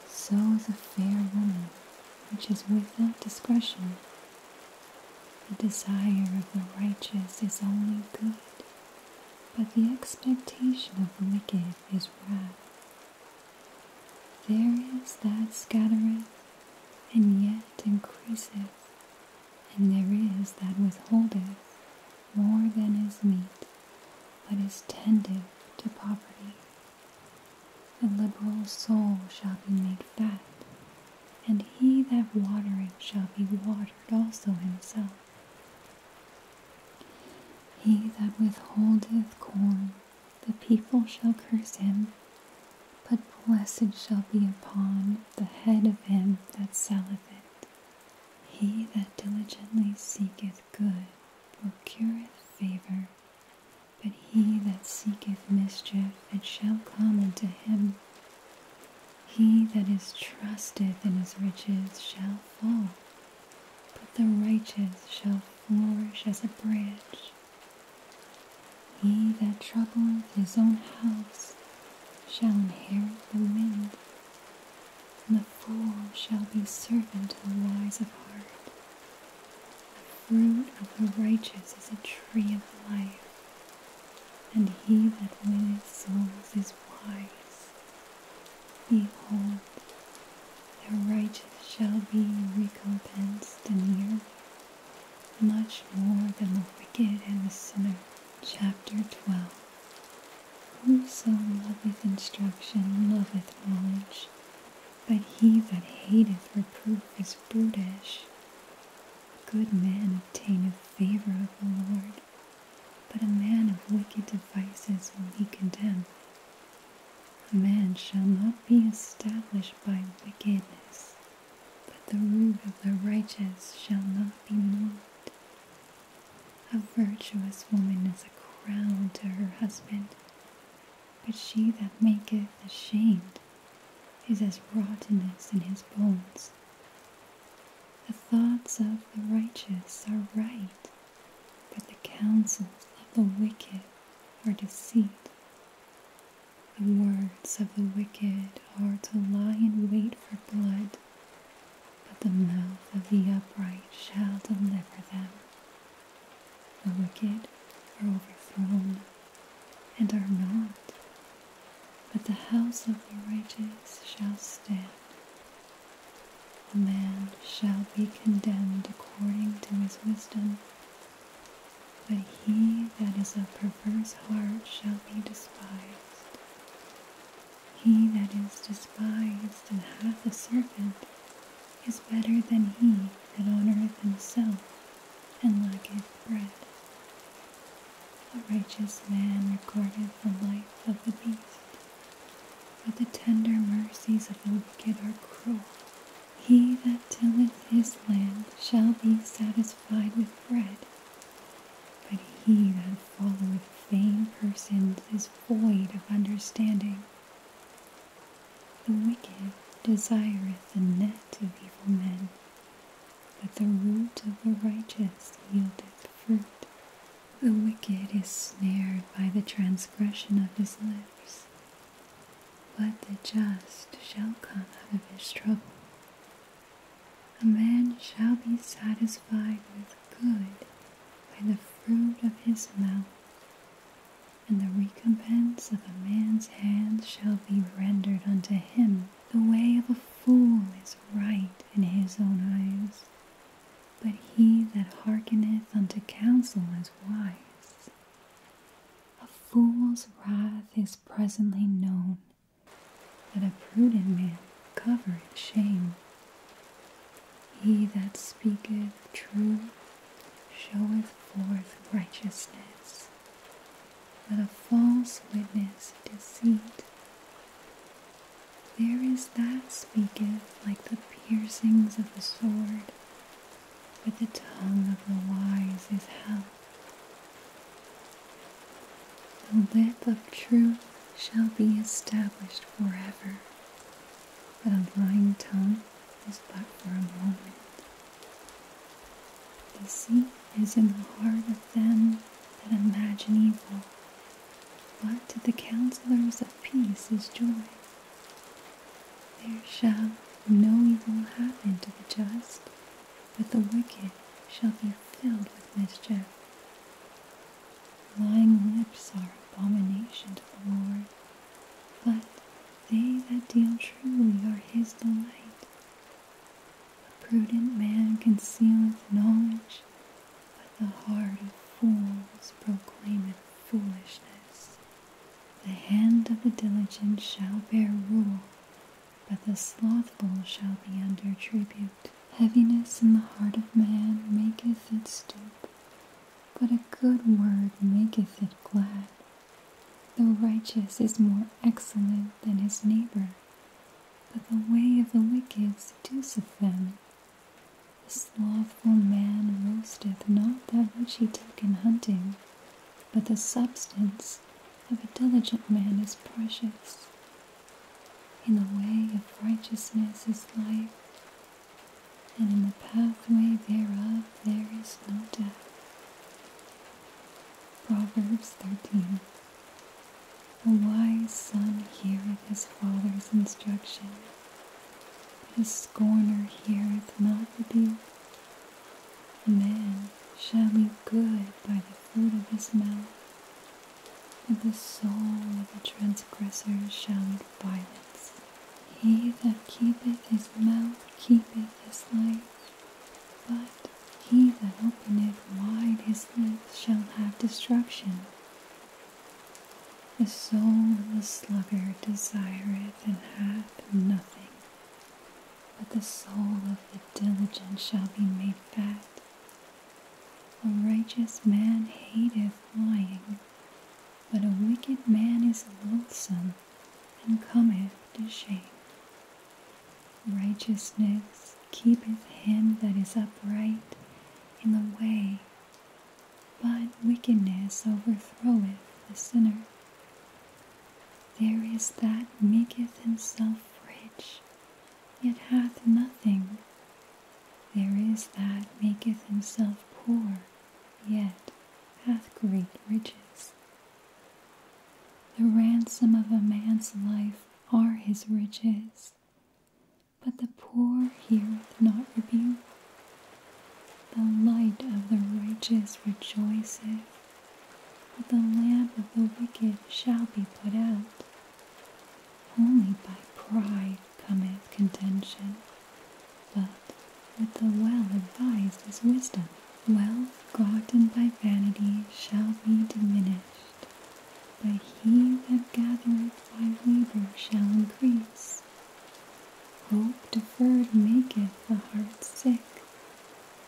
so is a fair woman, which is without discretion. The desire of the righteous is only good, but the expectation of the wicked is wrath. There is that scattereth, and yet increaseth, and there is that withholdeth more than is meet, but is tendeth to poverty. The liberal soul shall be made fat, and he that watereth shall be watered also himself. He that withholdeth corn the people shall curse him, but blessed shall be upon the head of him that selleth it. He that diligently seeketh good procureth favor, but he that seeketh mischief it shall come unto him. He that is trusteth in his riches shall fall, but the righteous shall flourish as a branch. He that troubleth his own house shall inherit the wind, and the fool shall be servant to the wise of heart. The fruit of the righteous is a tree of life, and he that winneth souls is wise. Behold, the righteous shall be recompensed in the earth, much more than the wicked and the sinner. Chapter 12 Whoso loveth instruction loveth knowledge, but he that hateth reproof is brutish. A good man obtaineth favor of the Lord, but a man of wicked devices will he condemn. A man shall not be established by wickedness, but the root of the righteous shall not be moved. A virtuous woman is a crown to her husband, but she that maketh ashamed is as rottenness in his bones. The thoughts of the righteous are right, but the counsels of the wicked are deceit. The words of the wicked are to lie in wait for blood, but the mouth of the upright shall deliver them. The wicked are overthrown and are not, but the house of the righteous shall stand. A man shall be condemned according to his wisdom, but he that is of perverse heart shall be despised. He that is despised and hath a servant is better than he that honoureth himself and lacketh bread. A righteous man regardeth the life of the beast, but the tender mercies of the wicked are cruel. He that tilleth his land shall be satisfied with bread, but he that followeth vain persons is void of understanding. The wicked desireth the net of evil men, but the root of the righteous yieldeth fruit. The wicked is snared by the transgression of his lips, but the just shall come out of his trouble. A man shall be satisfied with good by the fruit of his mouth, and the recompense of a man's hands shall be rendered unto him. The way of a fool is right in his own eyes, but he that hearkeneth unto counsel is wise. A fool's wrath is presently known, but a prudent man covereth shame. He that speaketh truth showeth forth righteousness, but a false witness deceit. There is that speaketh like the piercings of a sword, but the tongue of the wise is health. The lip of truth shall be established forever, but a lying tongue is but for a moment. Deceit is in the heart of them that imagine evil, but to the counselors of peace is joy. There shall no evil happen to the just, but the wicked shall be filled with mischief. Lying lips are abomination to the Lord, but they that deal truly are his delight. A prudent man concealeth knowledge, but the heart of fools proclaimeth foolishness. The hand of the diligent shall bear rule, but the slothful shall be under tribute. Heaviness in the heart of man maketh it stoop, but a good word maketh it glad. The righteous is more excellent than his neighbor, but the way of the wicked seduceth them. The slothful slothful man roasteth not that which he took in hunting, but the substance of a diligent man is precious. In the way of righteousness is life, and in the pathway thereof there is no death. Proverbs 13 A wise son heareth his father's instruction his scorner heareth not rebuke. A man shall be good by the fruit of his mouth, and the soul of the transgressor shall be violence. He that keepeth his mouth keepeth his life, but he that openeth wide his lips shall have destruction. The soul of the sluggard desireth and hath nothing, but the soul of the diligent shall be made fat. A righteous man hateth lying, but a wicked man is loathsome and cometh to shame. Righteousness keepeth him that is upright in the way, but wickedness overthroweth the sinner. There is that maketh himself rich, yet hath nothing. There is that maketh himself poor, yet hath great riches. The ransom of a man's life are his riches, but the poor heareth not rebuke. The light of the righteous rejoiceth, but the lamp of the wicked shall be put out. Only by pride cometh contention, but with the well advised is wisdom. Wealth gotten by vanity shall be diminished, but he that gathereth by labor shall increase. Hope deferred maketh the heart sick,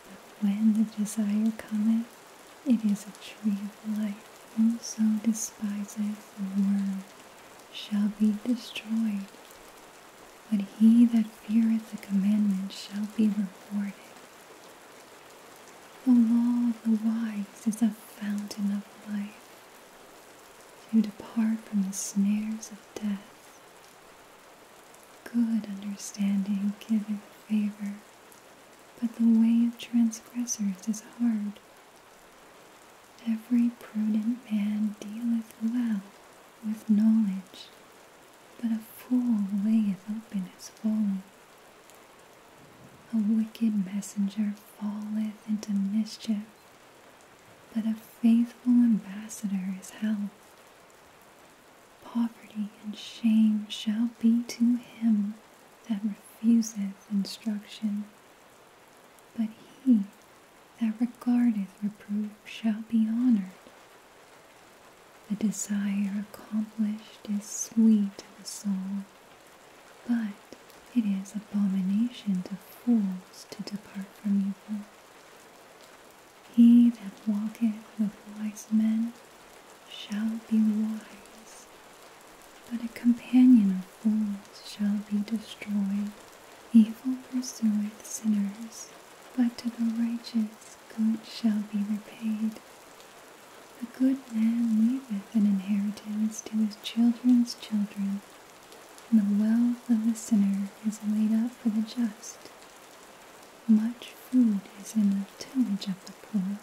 but when the desire cometh, it is a tree of life. Whoso despiseth the word shall be destroyed, but he that feareth the commandment shall be rewarded. The law of the wise is a fountain of life, to depart from the snares of death Good understanding giveth favor, but the way of transgressors is hard. Every prudent man dealeth well with knowledge, but a fool layeth open his folly. A wicked messenger falleth into mischief, but a faithful ambassador is health. Poverty and shame shall be to him that refuseth instruction, but he that regardeth reproof shall be honored. The desire accomplished is sweet to the soul, but it is abomination to fools to depart from evil. He that walketh with wise men shall be wise, but a companion of fools shall be destroyed. Evil pursueth sinners, but to the righteous good shall be repaid. A good man leaveth an inheritance to his children's children the wealth of the sinner is laid up for the just. Much food is in the tillage of the poor,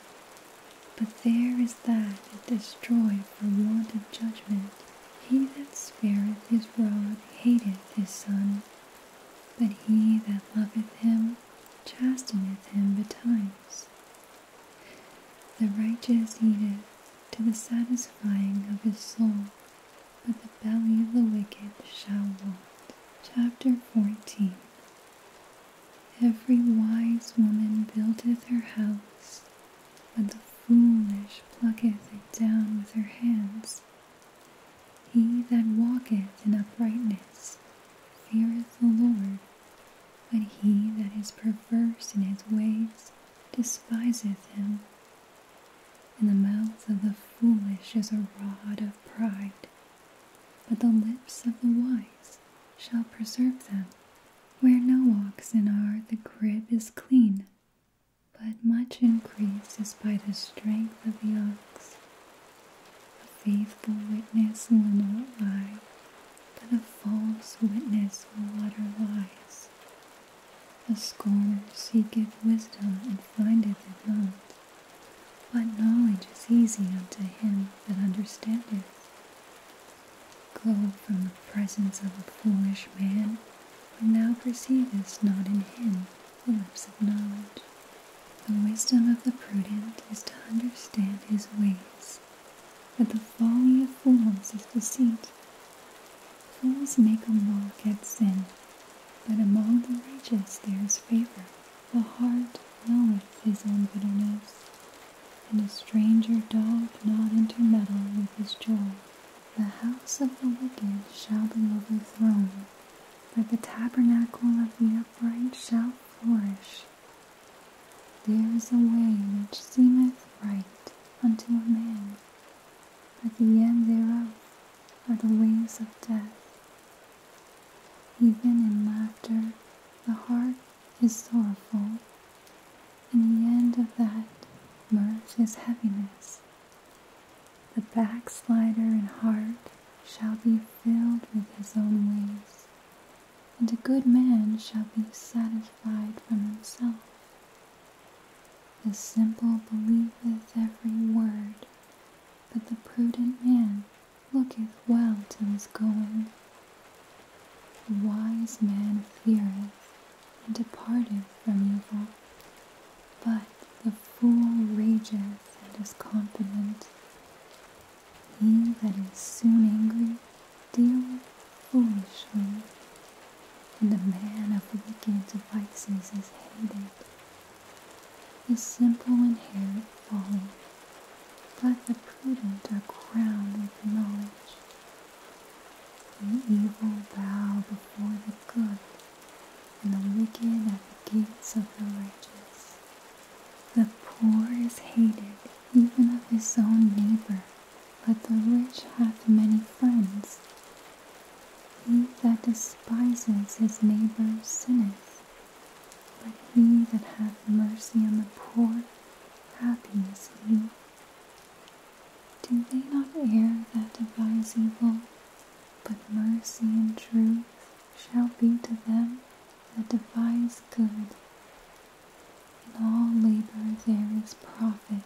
but there is that is destroyed for want of judgment. He that spareth his rod hateth his son, but he that loveth him chasteneth him betimes. The righteous eateth to the satisfying of his soul, but the belly of the wicked shall rot. Chapter 14 Every wise woman buildeth her house, but the foolish plucketh it down with her hands. He that walketh in uprightness feareth the Lord, but he that is perverse in his ways despiseth him. In the mouth of the foolish is a rod of pride, but the lips of the wise shall preserve them. Where no oxen are, the crib is clean, but much increase is by the strength of the ox. A faithful witness will not lie, but a false witness will utter lies. A scholar seeketh wisdom and findeth it not. But knowledge is easy unto him that understandeth. Go from the presence of a foolish man, when thou perceivest not in him the lips of knowledge. The wisdom of the prudent is to understand his ways, but the folly of fools is deceit. Fools make a mock at sin, but among the righteous there is favor. The heart knoweth his own bitterness, and a stranger doth not intermeddle with his joy. The house of the wicked shall be overthrown, but the tabernacle of the upright shall flourish. There is a way which seemeth right unto a man, but the end thereof are the ways of death. Even in laughter, the heart is sorrowful, and the end of that mirth is heaviness. The backslider in heart shall be filled with his own ways, and a good man shall be satisfied from himself. The simple believeth every word, but the prudent man looketh well to his going. The wise man feareth and departeth from evil, but the fool rageth and is confident. He that is soon angry dealeth foolishly, and the man of wicked devices is hated. The simple inherit folly, but the prudent are crowned with knowledge. The evil bow before the good, and the wicked at the gates of the righteous. The poor is hated, even of his own neighbor, but the rich hath many friends. He that despises his neighbor sinneth, but he that hath mercy on the poor, happy is he. Do they not err that devise evil? But mercy and truth shall be to them that devise good. In all labor there is profit,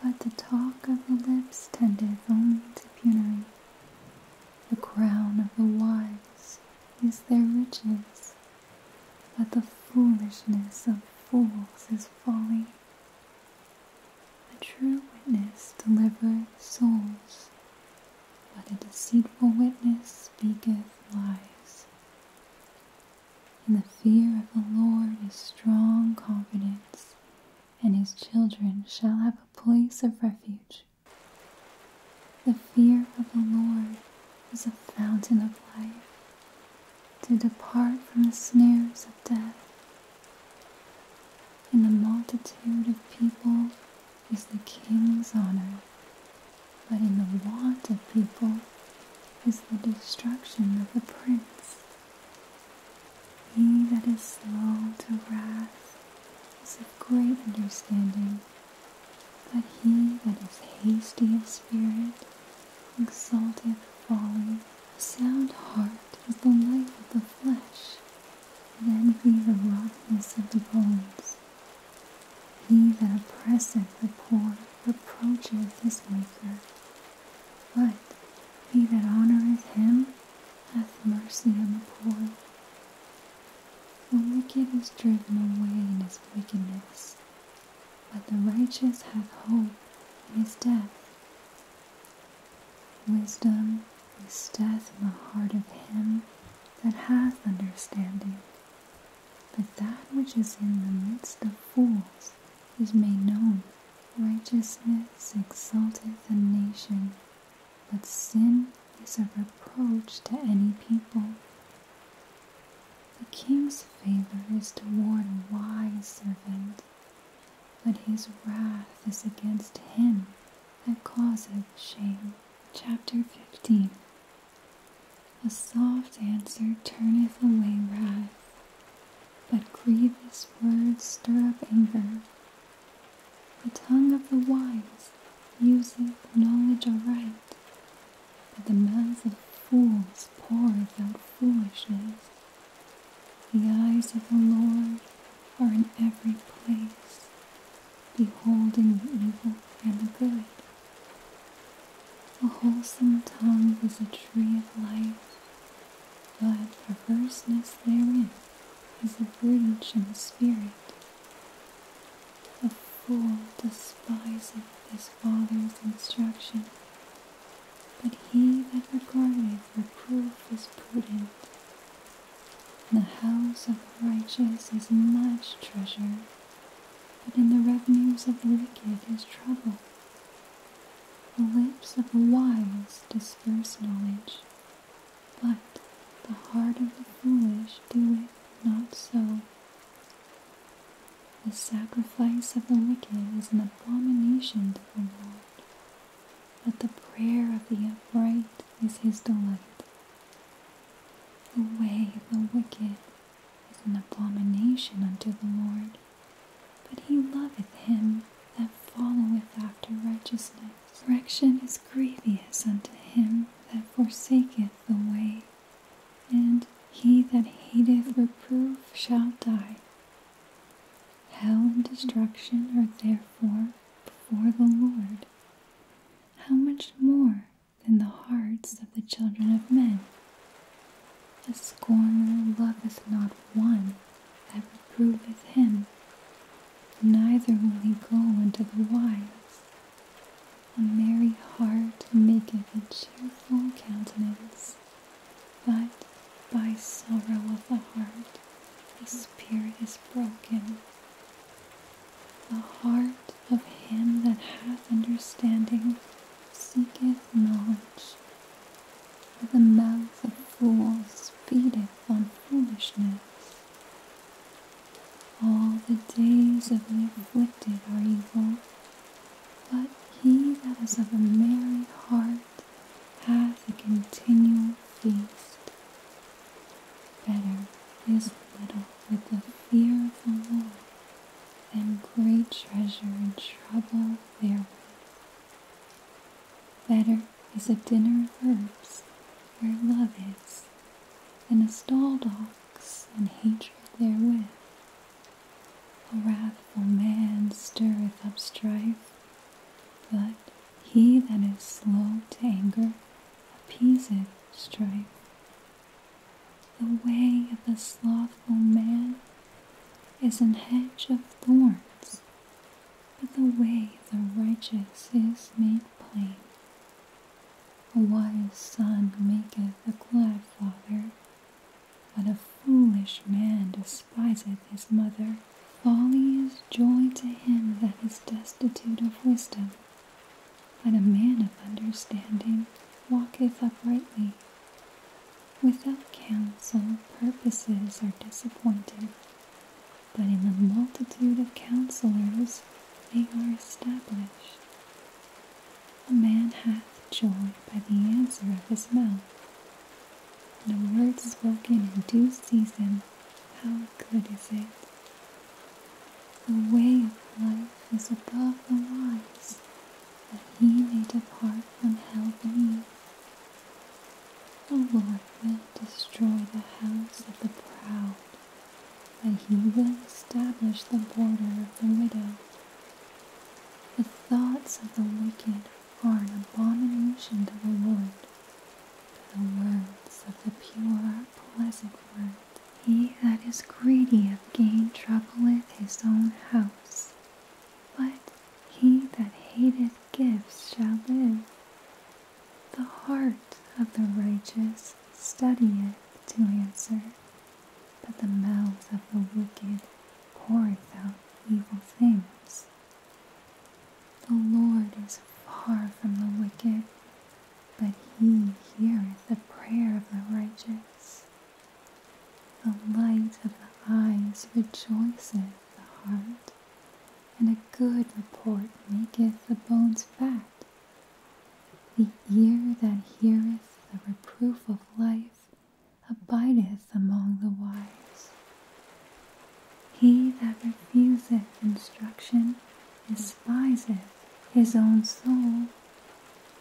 but the talk of the lips tendeth only to penury. The crown of the wise is their riches, but the foolishness of fools is folly. A true witness delivereth souls, but a deceitful witness speaketh lies. And the fear of the Lord is strong confidence, and his children shall have a place of refuge. The fear of the Lord is a fountain of life to depart from the snares of death. In the multitude of people is the king's honor, but in the want of people is the destruction of the prince. He that is slow to wrath is of great understanding, but he that is hasty of spirit exalteth folly. A sound heart is the life of the flesh, and be the roughness of the bones. He that oppresseth the poor reproacheth his maker, but he that honoureth him have mercy on the poor. The wicked is driven away in his wickedness, but the righteous hath hope in his death. Wisdom is death in the heart of him that hath understanding, but that which is in the midst of fools is made known. Righteousness exalteth a nation, but sin is a reproach to any people. The king's favor is toward a wise servant, but his wrath is against him that causeth shame. Chapter 15 A soft answer turneth away wrath, but grievous words stir up anger. The tongue of the wise useth knowledge aright, but the mouths of fools pour out foolishness. The eyes of the Lord are in every place, beholding the evil and the good. A wholesome tongue is a tree of life, but perverseness therein is a rich in spirit. A fool despiseth his father's instruction, but he that regardeth reproof is prudent. In the house of the righteous is much treasure, but in the revenues of the wicked is trouble. The lips of the wise disperse knowledge, but the heart of the foolish doeth not so. The sacrifice of the wicked is an abomination to the Lord, but the prayer of the upright is his delight. The way of the wicked is an abomination unto the Lord, but he loveth him that followeth after righteousness. Correction is grievous unto him that forsaketh the way, and he that hateth reproof shall die. Hell and destruction are therefore before the Lord. How much more than the hearts of the children of men? A scorner loveth not one that reproveth him, neither will he go unto the wise. A merry heart maketh a cheerful countenance, but by sorrow of the heart the spirit is broken. The heart of him that hath understanding seeketh knowledge, the mouth of fools feedeth on foolishness. All the days of the afflicted are evil, but he that is of a merry heart hath a continual feast. Better is little with the fear of the Lord than great treasure and trouble therewith. Better is a dinner of herbs where love is, and a stall dogs and hatred therewith. A wrathful man stirreth up strife, but he that is slow to anger appeaseth strife. The way of the slothful man is an hedge of thorns, but the way of the righteous is made plain. A wise son maketh a glad father, but a foolish man despiseth his mother. Folly is joy to him that is destitute of wisdom, but a man of understanding walketh uprightly. Without counsel, purposes are disappointed, but in the multitude of counselors they are established. A man hath joy by the answer of his mouth, and a word spoken in due season, how good is it! The way of life is above the wise, that he may depart from hell beneath. The Lord will destroy the house of the proud, and he will establish the border of the widow. The thoughts of the wicked are an abomination to the Lord, but the words of the pure are pleasant words. He that is greedy of gain troubleth his own house, but he that hateth gifts shall live. The heart of the righteous studieth to answer, but the mouth of the wicked poureth out evil things. The Lord is far from the wicked, but he heareth the prayer of the righteous. The light of the eyes rejoiceth the heart, and a good report maketh the bones fat. The ear that heareth the reproof of life abideth among the wise. He that refuseth instruction despiseth his own soul,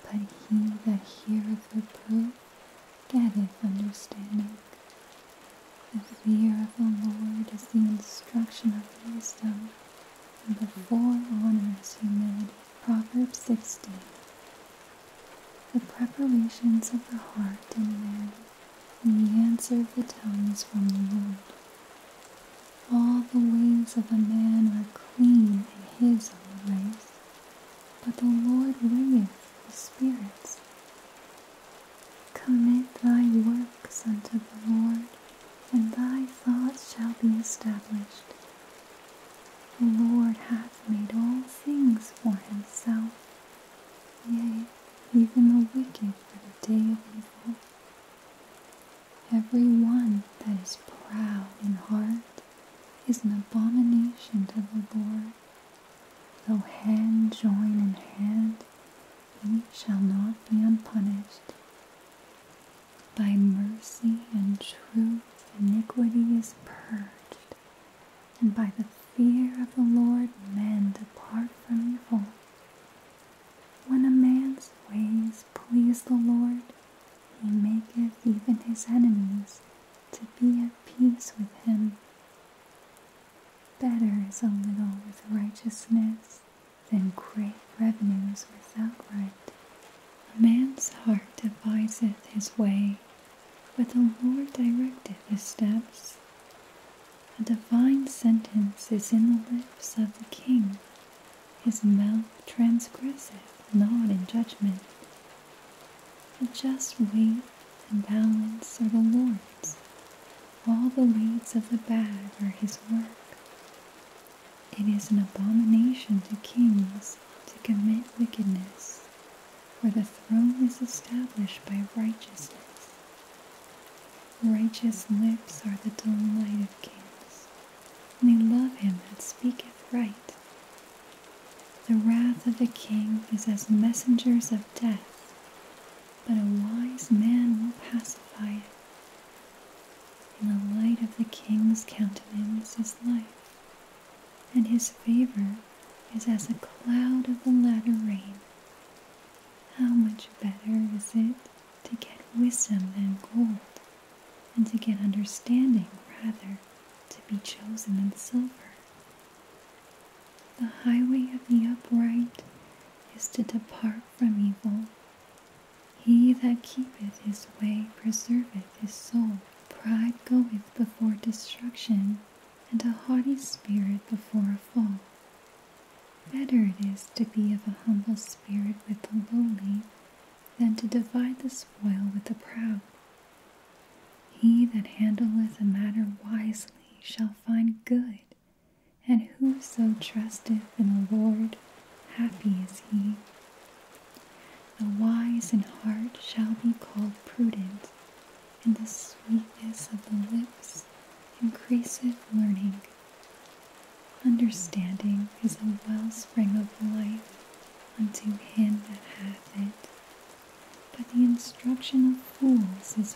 but he that heareth reproof getteth understanding the fear of the Lord is the instruction of wisdom, and before honor is humility. Proverbs 16. The preparations of the heart and man, and the answer of the tongue is from the Lord. All the ways of a man are clean in his own eyes, but the Lord weigheth the spirits. Commit thy works unto the Lord, and thy thoughts shall be established. The Lord hath made all things for himself, yea, even the wicked for the day of evil. Every one that is proud in heart is an abomination to the Lord. Though hand join in hand, he shall not be unpunished. By mercy and truth, iniquity is purged, and by the fear of the Lord, men depart from evil. When a man's ways please the Lord, he maketh even his enemies to be at peace with him. Better is a little with righteousness than great revenues without right. A man's heart deviseth his way, but the Lord directeth his steps. A divine sentence is in the lips of the king. His mouth transgresseth not in judgment. The just weight and balance are the Lord's, all the weeds of the bag are his work. It is an abomination to kings to commit wickedness, for the throne is established by righteousness. Righteous lips are the delight of kings, and they love him that speaketh right. The wrath of the king is as messengers of death, but a wise man will pacify it. In the light of the king's countenance is life, and his favor is as a cloud of the latter rain. How much better is it to get wisdom than gold, and to get understanding rather to be chosen than silver? The highway of the upright is to depart from evil. He that keepeth his way preserveth his soul. Pride goeth before destruction, and a haughty spirit before a fall. Better it is to be of a humble spirit with the lowly than to divide the spoil with the proud. He that handleth a matter wisely shall find good. And whoso trusteth in the Lord, happy is he. The wise in heart shall be called prudent, and the sweetness of the lips increaseth learning. Understanding is a wellspring of life unto him that hath it, but the instruction of fools is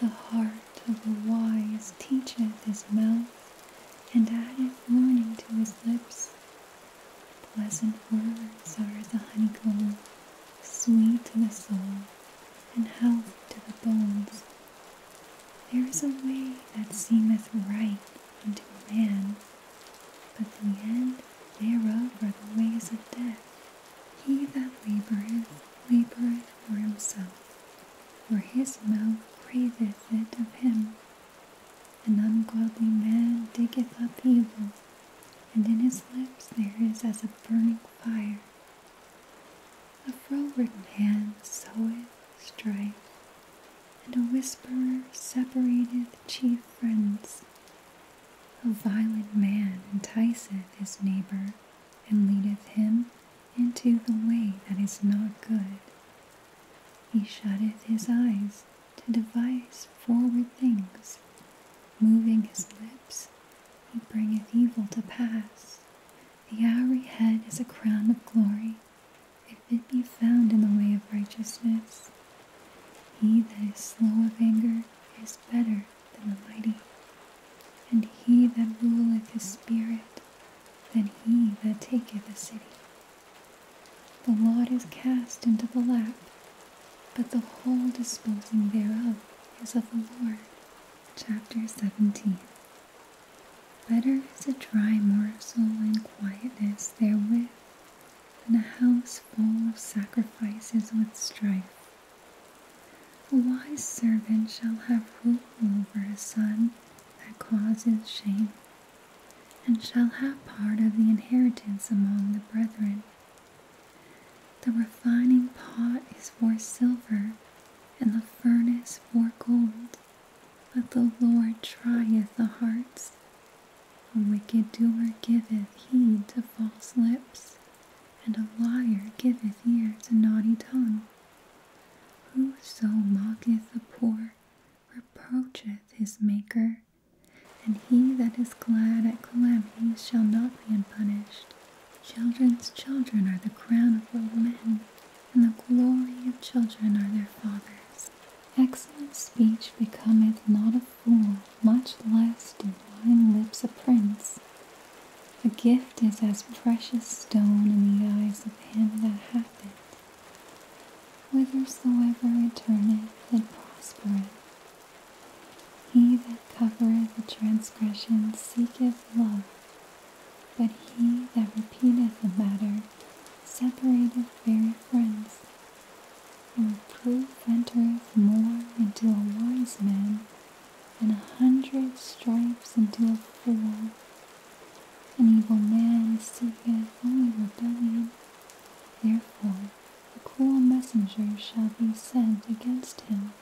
the heart of the wise teacheth his mouth, and addeth warning to his lips. Pleasant words are as a honeycomb, sweet to the soul, and health to the bones. There is a way that seemeth right unto a man, but the end thereof are the ways of death. He that laboureth, laboureth for himself, for his mouth craveth it of him. An ungodly man diggeth up evil, and in his lips there is as a burning fire. A froward man soweth strife, and a whisperer separateth chief friends. A violent man enticeth his neighbor, and leadeth him into the way that is not good. He shutteth his eyes to devise forward things. Moving his lips, he bringeth evil to pass. The hoary head is a crown of glory, if it be found in the way of righteousness. He that is slow of anger is better than the mighty, and he that ruleth his spirit than he that taketh a city. The lot is cast into the lap, but the whole disposing thereof is of the Lord. Chapter 17 Better is a dry morsel and quietness therewith than a house full of sacrifices with strife. A wise servant shall have rule over a son that causes shame, and shall have part of the inheritance among the brethren. The refining pot is for silver, and the furnace for gold, but the Lord trieth the hearts. A wicked doer giveth heed to false lips, and a liar giveth ear to naughty tongue. Whoso mocketh the poor reproacheth his Maker, and he that is glad at calamities shall not be unpunished. Children's children are the crown of old men, and the glory of children are their fathers. Excellent speech becometh not a fool, much less do lying lips a prince. A gift is as precious stone in the eyes of him that hath it. Whithersoever it turneth, it prospereth. He that covereth a transgression seeketh love, but he that repeateth a matter separateth very friends. and reproof entereth more into a wise man and a hundred stripes unto a fool, An evil man is seeketh only rebellion. Therefore a cruel messenger shall be sent against him.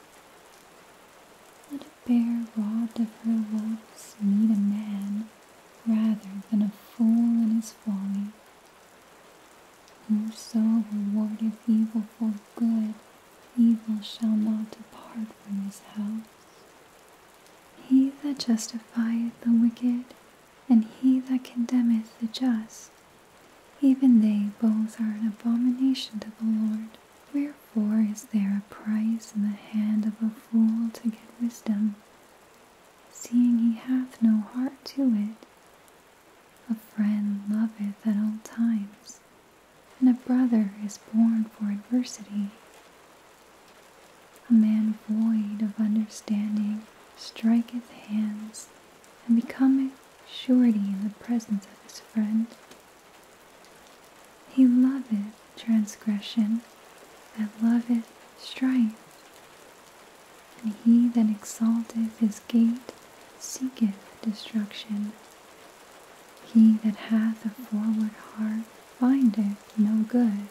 Let a bear robbed of her loves meet a man rather than a fool in his folly. Whoso rewardeth evil for good Evil shall not depart from his house. He that justifieth the wicked, and he that condemneth the just, even they both are an abomination to the Lord. Wherefore is there a price in the hand of a fool to get wisdom, seeing he hath no heart to it? A friend loveth at all times, and a brother is born for adversity. A man void of understanding striketh hands and becometh surety in the presence of his friend. He loveth transgression that loveth strife, and he that exalteth his gate seeketh destruction. He that hath a forward heart findeth no good,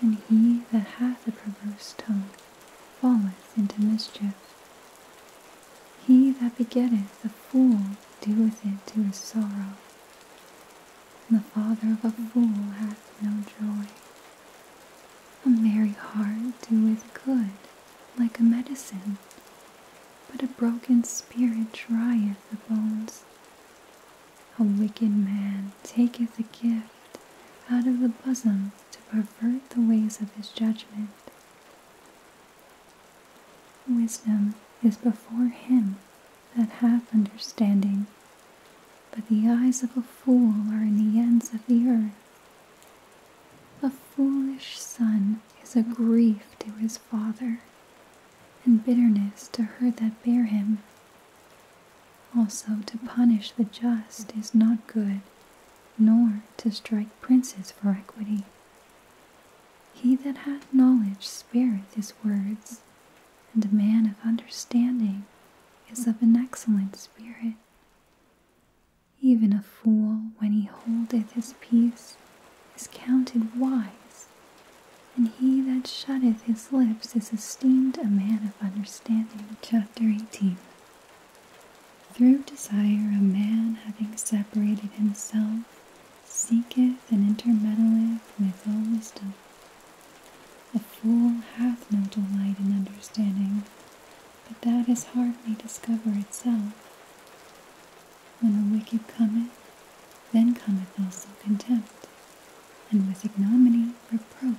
and he that hath a perverse tongue falleth into mischief. He that begetteth a fool doeth it to his sorrow, and the father of a fool hath no joy. A merry heart doeth good like a medicine, but a broken spirit drieth the bones. A wicked man taketh a gift out of the bosom to pervert the ways of his judgment. Wisdom is before him that hath understanding, but the eyes of a fool are in the ends of the earth. A foolish son is a grief to his father, and bitterness to her that bare him. Also, to punish the just is not good, nor to strike princes for equity. He that hath knowledge spareth his words, and a man of understanding is of an excellent spirit. Even a fool, when he holdeth his peace, is counted wise, and he that shutteth his lips is esteemed a man of understanding. Chapter 18 Through desire a man, having separated himself, seeketh and intermeddleth with all wisdom. A fool hath no delight in understanding, but that his heart may discover itself. When the wicked cometh, then cometh also contempt, and with ignominy reproach.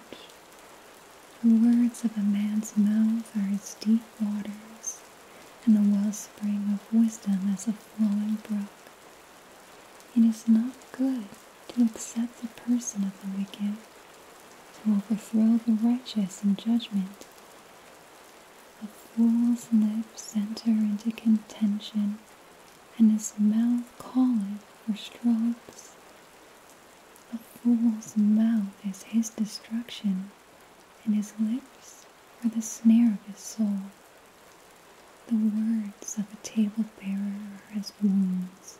The words of a man's mouth are as deep waters, and the wellspring of wisdom as a flowing brook. It is not good to accept the person of the wicked, to overthrow the righteous in judgment. A fool's lips enter into contention, and his mouth calleth for strokes. A fool's mouth is his destruction, and his lips are the snare of his soul. The words of a table bearer are as wounds,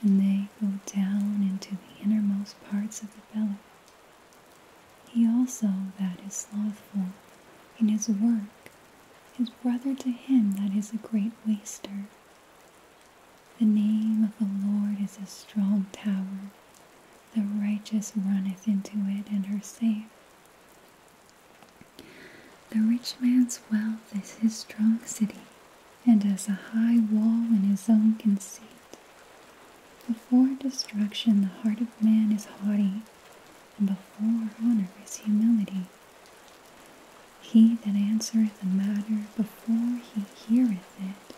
and they go down into the innermost parts of the belly. He also that is slothful in his work is brother to him that is a great waster. The name of the Lord is a strong tower. The righteous runneth into it and is safe. The rich man's wealth is his strong city, and as a high wall in his own conceit. Before destruction the heart of man is haughty, and before honor is humility. He that answereth a matter before he heareth it,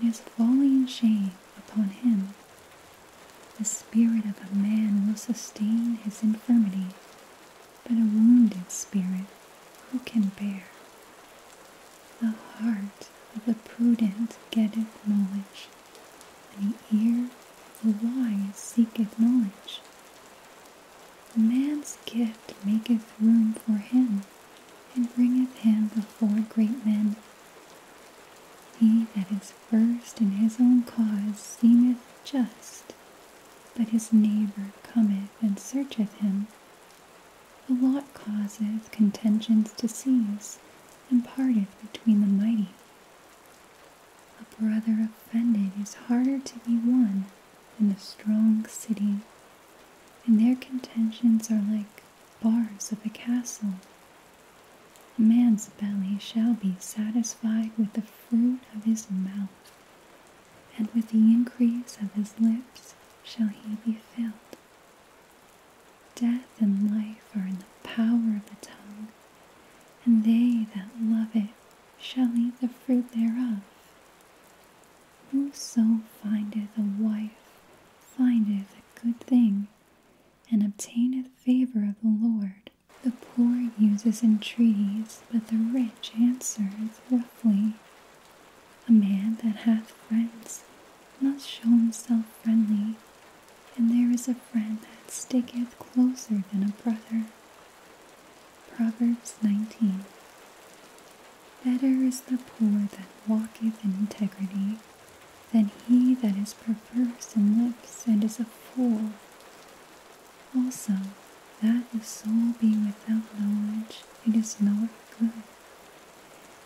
it is falling shame upon him. The spirit of a man will sustain his infirmity, but a wounded spirit who can bear? The heart of the prudent getteth knowledge, and the ear the wise seeketh knowledge. Man's gift maketh room for him, and bringeth him before great men. He that is first in his own cause seemeth just, but his neighbor cometh and searcheth him. The lot causeth contentions to cease, and parteth between the mighty. A brother offended is harder to be won than a strong city, and their contentions are like bars of a castle. A man's belly shall be satisfied with the fruit of his mouth, and with the increase of his lips shall he be filled. Death and life are in the power of the tongue, and they that love it shall eat the fruit thereof. Whoso findeth a wife findeth a good thing, and obtaineth favor of the Lord. The poor uses entreaties, but the rich answereth roughly. A man that hath friends must show himself friendly, and there is a friend that sticketh closer than a brother. Proverbs 19. Better is the poor that walketh in integrity than he that is perverse in lips and is a fool. Also, that the soul be without knowledge, it is not good.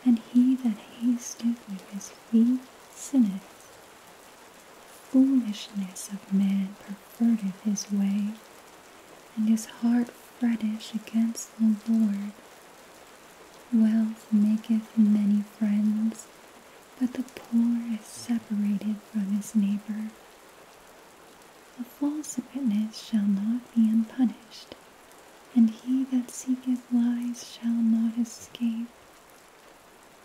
And he that hasteth with his feet sinneth foolishness of man perverted his way, and his heart fretteth against the Lord. Wealth maketh many friends, but the poor is separated from his neighbor. A false witness shall not be unpunished, and he that seeketh lies shall not escape.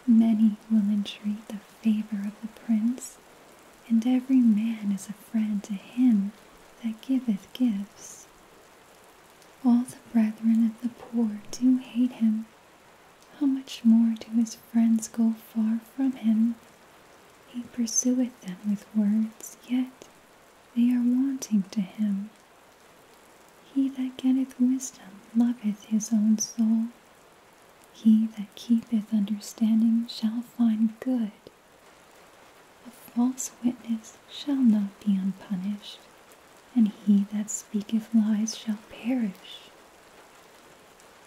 Many will entreat the favor of the prince, and every man is a friend to him that giveth gifts. All the brethren of the poor do hate him. How much more do his friends go far from him? He pursueth them with words, yet they are wanting to him. He that getteth wisdom loveth his own soul. He that keepeth understanding shall find good. A false witness shall not be unpunished, and he that speaketh lies shall perish.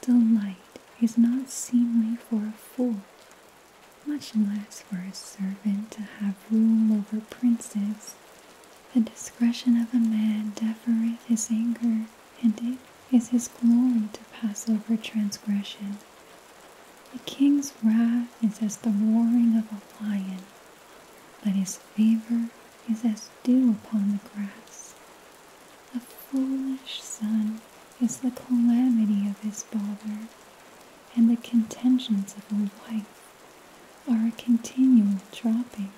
Delight is not seemly for a fool, much less for a servant to have rule over princes the discretion of a man defereth his anger, and it is his glory to pass over transgression. The king's wrath is as the roaring of a lion, but his favor is as dew upon the grass. A foolish son is the calamity of his father, and the contentions of a wife are a continual dropping.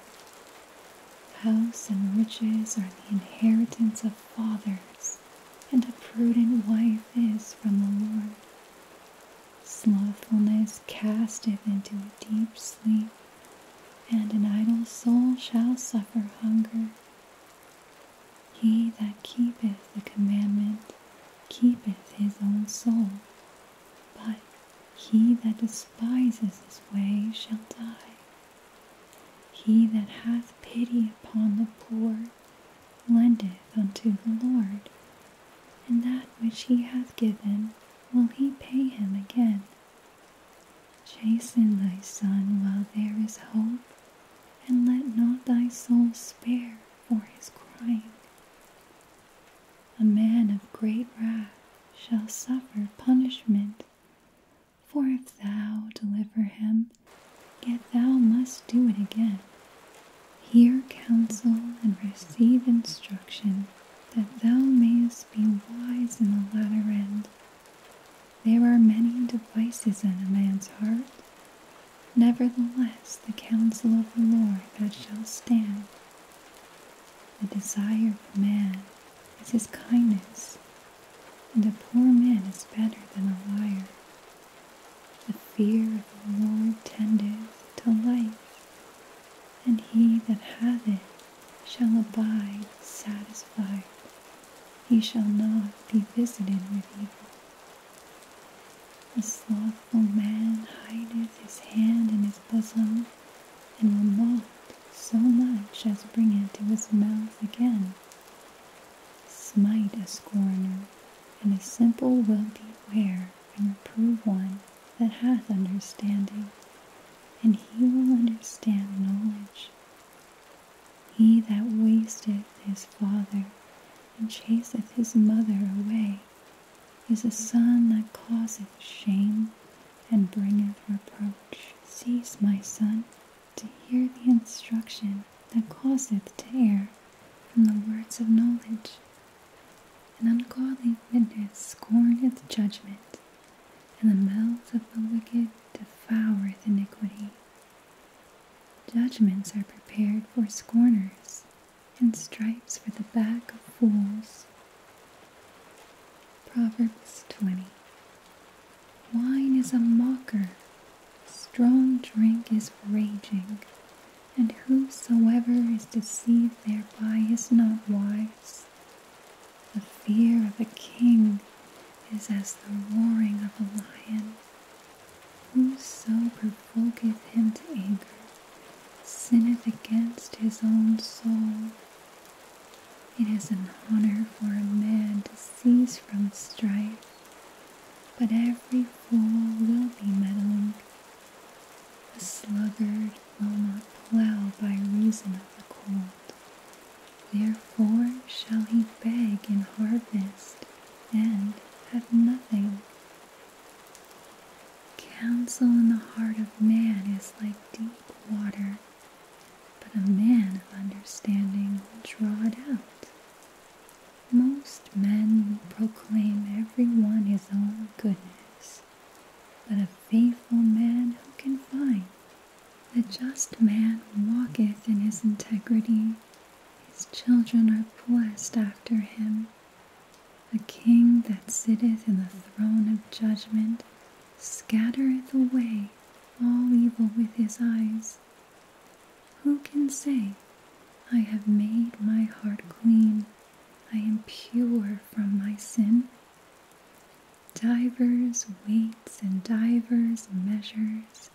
House and riches are the inheritance of fathers, and a prudent wife is from the Lord. Slothfulness casteth into a deep sleep, and an idle soul shall suffer hunger. He that keepeth the commandment keepeth his own soul but he that despises his way shall die. He that hath pity upon the poor lendeth unto the Lord, and that which he hath given will he pay him again. Chasten thy son while there is hope, and let not thy soul spare for his crying. A man of great wrath shall suffer punishment. For if thou deliver him, yet thou must do it again. Hear counsel and receive instruction, that thou mayest be wise in the latter end. There are many devices in a man's heart. Nevertheless, the counsel of the Lord that shall stand. The desire of man is his kindness, and a poor man is better than a liar. The fear of the Lord tendeth to life, and he that hath it shall abide satisfied. He shall not be visited with evil. The slothful man hideth his hand in his bosom, and will not so much as bring it to his mouth again. Smite a scorner, and a simple will beware, and reprove one that hath understanding, and he will understand knowledge. He that wasteth his father, and chaseth his mother away, is a son that causeth shame and bringeth reproach. Cease, my son, to hear the instruction that causeth tear, from the words of knowledge. An ungodly witness scorneth judgment, and the mouth of the wicked devoureth iniquity. Judgments are prepared for scorners, and stripes for the back of fools. Proverbs 20 Wine is a mocker, strong drink is raging, and whosoever is deceived thereby is not wise. The fear of a king is as the roaring of a lion. Whoso provoketh him to anger sinneth against his own soul. It is an honor for a man to cease from strife, but every fool will be meddling. A sluggard will not plough by reason of the cold. Therefore shall he beg in harvest and have nothing. Counsel in the heart of man is like deep water, but a man of understanding will draw it out. Most men proclaim every one his own goodness, but a faithful man who can find? The just man walketh in his integrity, his children are blessed after him. A king that sitteth in the throne of judgment scattereth away all evil with his eyes. Who can say, I have made my heart clean, I am pure from my sin? Divers weights and divers measures,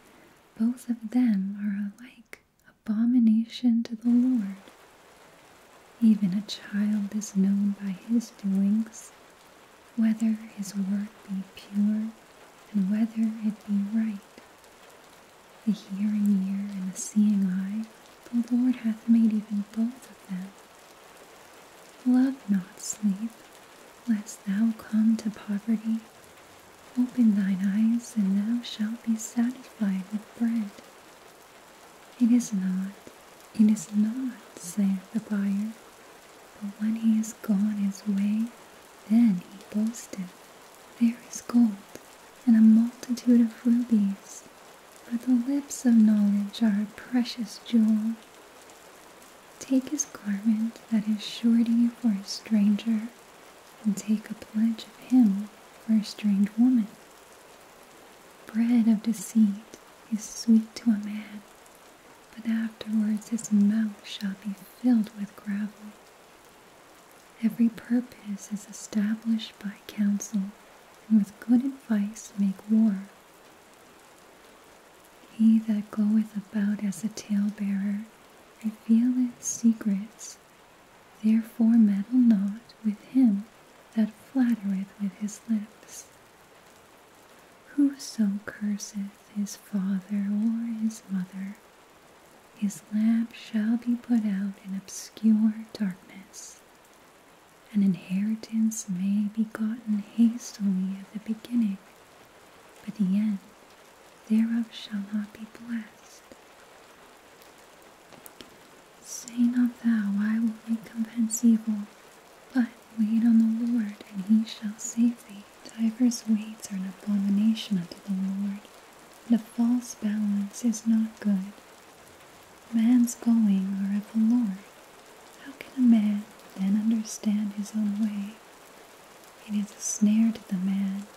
both of them are alike abomination to the Lord. Even a child is known by his doings, whether his work be pure and whether it be right. The hearing ear and the seeing eye, the Lord hath made even both of them. Love not sleep, lest thou come to poverty. Open thine eyes, and thou shalt be satisfied with bread, it is not, it is not, saith the buyer. But when he is gone his way, then he boasteth, There is gold, and a multitude of rubies. But the lips of knowledge are a precious jewel. Take his garment that is surety for a stranger, and take a pledge of him for a strange woman. Bread of deceit is sweet to a man, but afterwards his mouth shall be filled with gravel. Every purpose is established by counsel, and with good advice make war. He that goeth about as a talebearer revealeth secrets. Therefore meddle not with him that flattereth with his lips. Whoso curseth his father or his mother, his lamp shall be put out in obscure darkness. An inheritance may be gotten hastily at the beginning, but the end thereof shall not be blessed. Say not thou, I will recompense evil, but Wait on the Lord, and he shall save thee. Divers weights are an abomination unto the Lord, and a false balance is not good. Man's going are of the Lord. How can a man then understand his own way? It is a snare to the man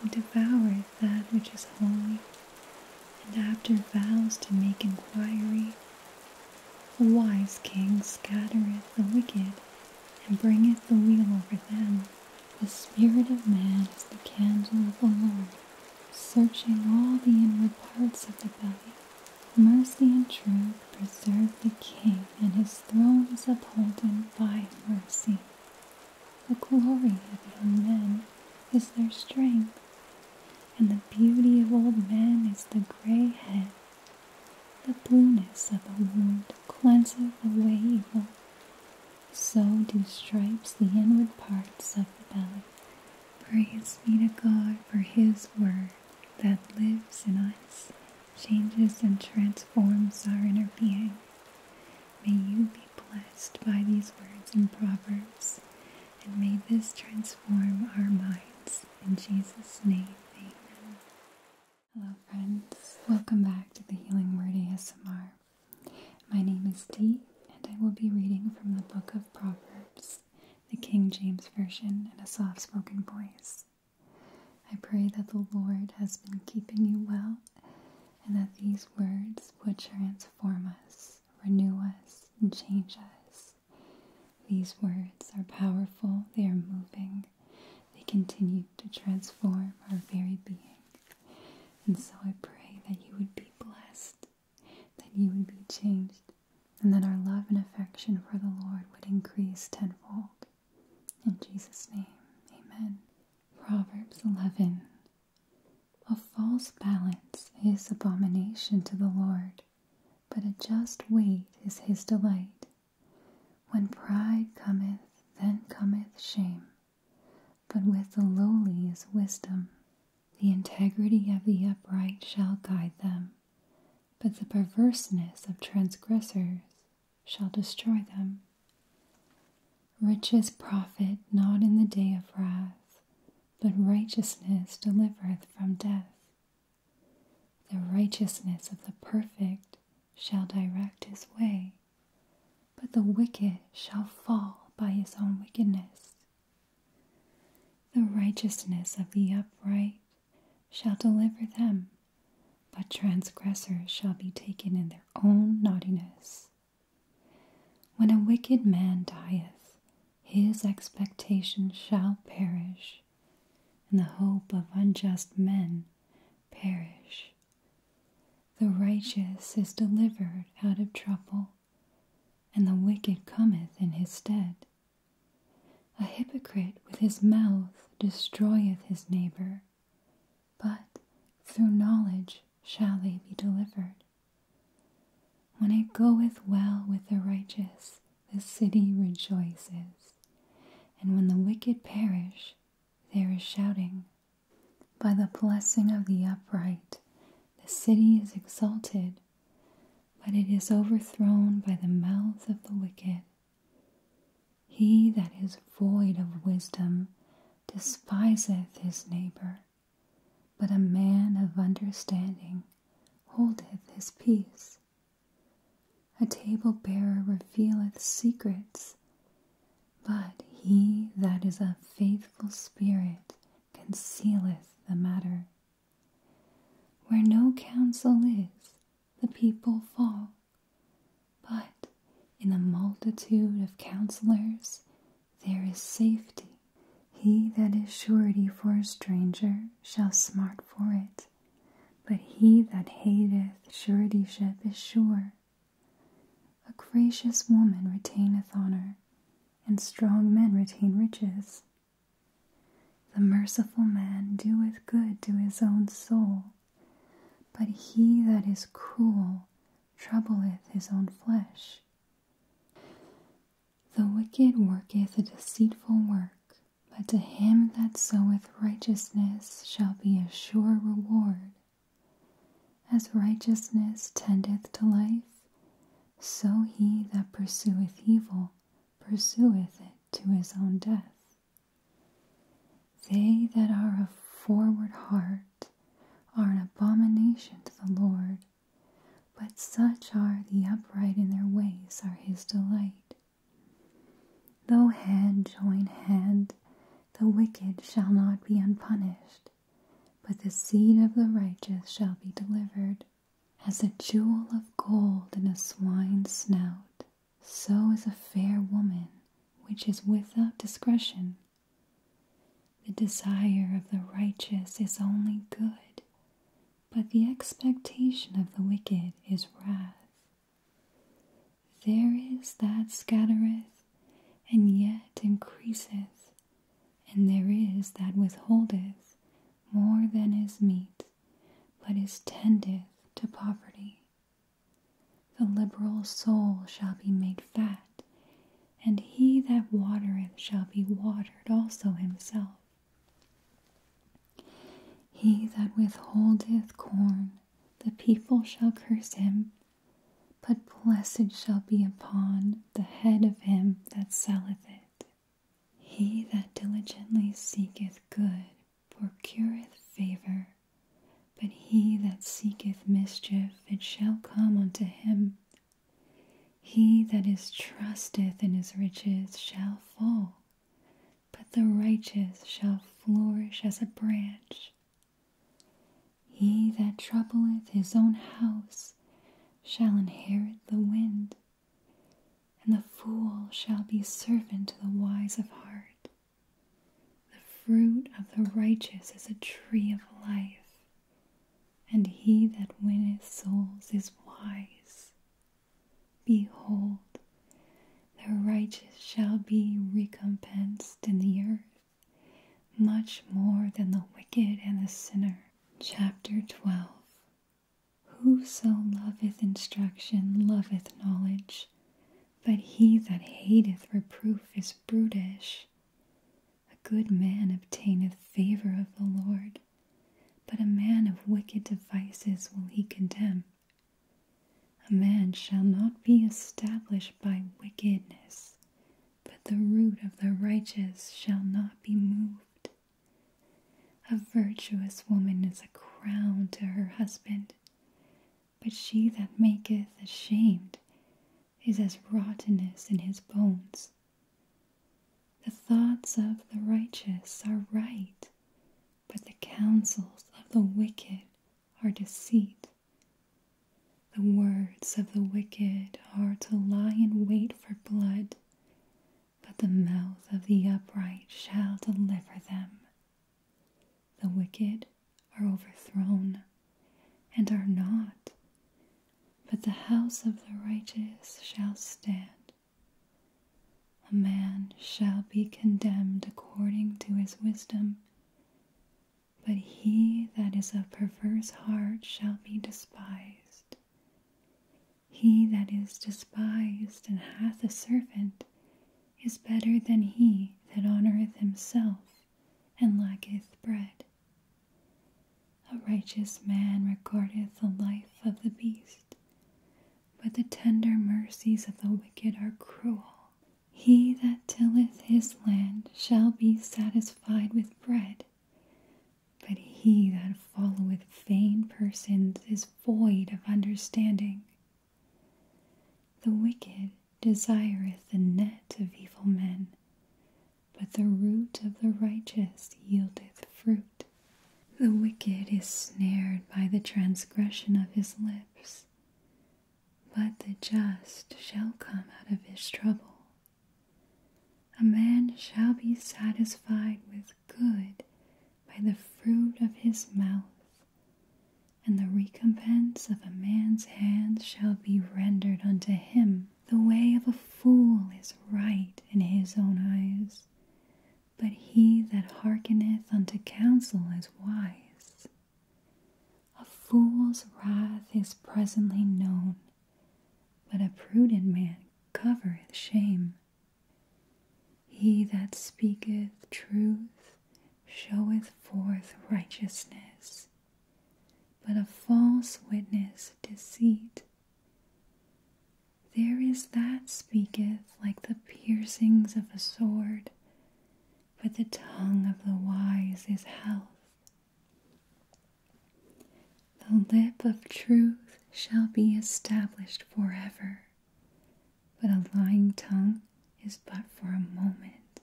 who devoureth that which is holy, and after vows to make inquiry the wise king scattereth the wicked, and bringeth the wheel over them. The spirit of man is the candle of the Lord, searching all the inward parts of the body. Mercy and truth preserve the king, and his throne is upholden by mercy. The glory of young men is their strength, and the beauty of old men is the gray head. The blueness of a wound cleanseth away evil. So do stripes the inward parts of the belly. Praise be to God for His word that lives in us, changes and transforms our inner being. May you be blessed by these words and Proverbs, and may this transform our minds. In Jesus' name, amen. Hello, friends. Welcome back to the Healing Word ASMR. My name is Dee, and I will be reading from the book of Proverbs, the King James Version, in a soft spoken voice. I pray that the Lord has been keeping you well, and that these words would transform us, renew us, and change us. These words are powerful, they are moving, they continue to transform our very being. And so I pray that you would be blessed, that you would be changed, and that our love and affection for the Lord would increase tenfold. In Jesus' name, amen. Proverbs 11 A false balance is abomination to the Lord but a just weight is his delight. When pride cometh, then cometh shame, but with the lowly is wisdom. The integrity of the upright shall guide them, but the perverseness of transgressors shall destroy them. Riches profit not in the day of wrath, but righteousness delivereth from death. The righteousness of the perfect shall direct his way, but the wicked shall fall by his own wickedness. The righteousness of the upright shall deliver them, but transgressors shall be taken in their own naughtiness. When a wicked man dieth, his expectation shall perish, and the hope of unjust men perish. The righteous is delivered out of trouble, and the wicked cometh in his stead. A hypocrite with his mouth destroyeth his neighbor, but through knowledge shall they be delivered. When it goeth well with the righteous, the city rejoices, and when the wicked perish, there is shouting. By the blessing of the upright, the city is exalted, but it is overthrown by the mouth of the wicked. He that is void of wisdom despiseth his neighbor, but a man of understanding holdeth his peace. A table bearer revealeth secrets, but he that is a faithful spirit concealeth the matter. Where no counsel is, the people fall, but in the multitude of counselors there is safety. He that is surety for a stranger shall smart for it. But he that hateth suretyship is sure. A gracious woman retaineth honor, and strong men retain riches. The merciful man doeth good to his own soul, but he that is cruel troubleth his own flesh. The wicked worketh a deceitful work, but to him that soweth righteousness shall be a sure reward. As righteousness tendeth to life, so he that pursueth evil pursueth it to his own death. They that are of forward heart are an abomination to the Lord, but such are the upright in their ways are his delight. Though hand join hand, the wicked shall not be unpunished, but the seed of the righteous shall be delivered. As a jewel of gold in a swine's snout, so is a fair woman which is without discretion. The desire of the righteous is only good, but the expectation of the wicked is wrath. There is that scattereth, and yet increaseth, and there is that withholdeth more than is meet, but is tended to poverty. The liberal soul shall be made fat, and he that watereth shall be watered also himself. He that withholdeth corn, the people shall curse him, but blessed shall be upon the head of him that selleth it. He that diligently seeketh good procureth favor, but he that seeketh mischief it shall come unto him. He that is trusteth in his riches shall fall, but the righteous shall flourish as a branch. He that troubleth his own house shall inherit the wind, and the fool shall be servant to the wise of heart. The fruit of the righteous is a tree of life, and he that winneth souls is wise. Behold, the righteous shall be recompensed in the earth, much more than the wicked and the sinner. Chapter 12 Whoso loveth instruction loveth knowledge, but he that hateth reproof is brutish. A good man obtaineth favor of the Lord, but a man of wicked devices will he condemn. A man shall not be established by wickedness, but the root of the righteous shall not be moved. A virtuous woman is a crown to her husband, but she that maketh ashamed is as rottenness in his bones. The thoughts of the righteous are right, but the counsels of the wicked are deceit. The words of the wicked are to lie in wait for blood, but the mouth of the upright shall deliver them. The wicked are overthrown and are not, but the house of the righteous shall stand. A man shall be condemned according to his wisdom, but he that is of perverse heart shall be despised. He that is despised and hath a servant is better than he that honoureth himself and lacketh bread. A righteous man regardeth the life of the beast, but the tender mercies of the wicked are cruel. He that tilleth his land shall be satisfied with bread, but he that followeth vain persons is void of understanding. The wicked desireth the net of evil men, but the root of the righteous yieldeth fruit. The wicked is snared by the transgression of his lips, but the just shall come out of his trouble. A man shall be satisfied with good by the fruit of his mouth, and the recompense of a man's hands shall be rendered unto him. The way of a fool is right in his own eyes, but he that hearkeneth unto counsel is wise. A fool's wrath is presently known, but a prudent man covereth shame. He that speaketh truth showeth forth righteousness, but a false witness deceit. There is that speaketh like the piercings of a sword, but the tongue of the wise is health. The lip of truth shall be established forever, but a lying tongue is but for a moment.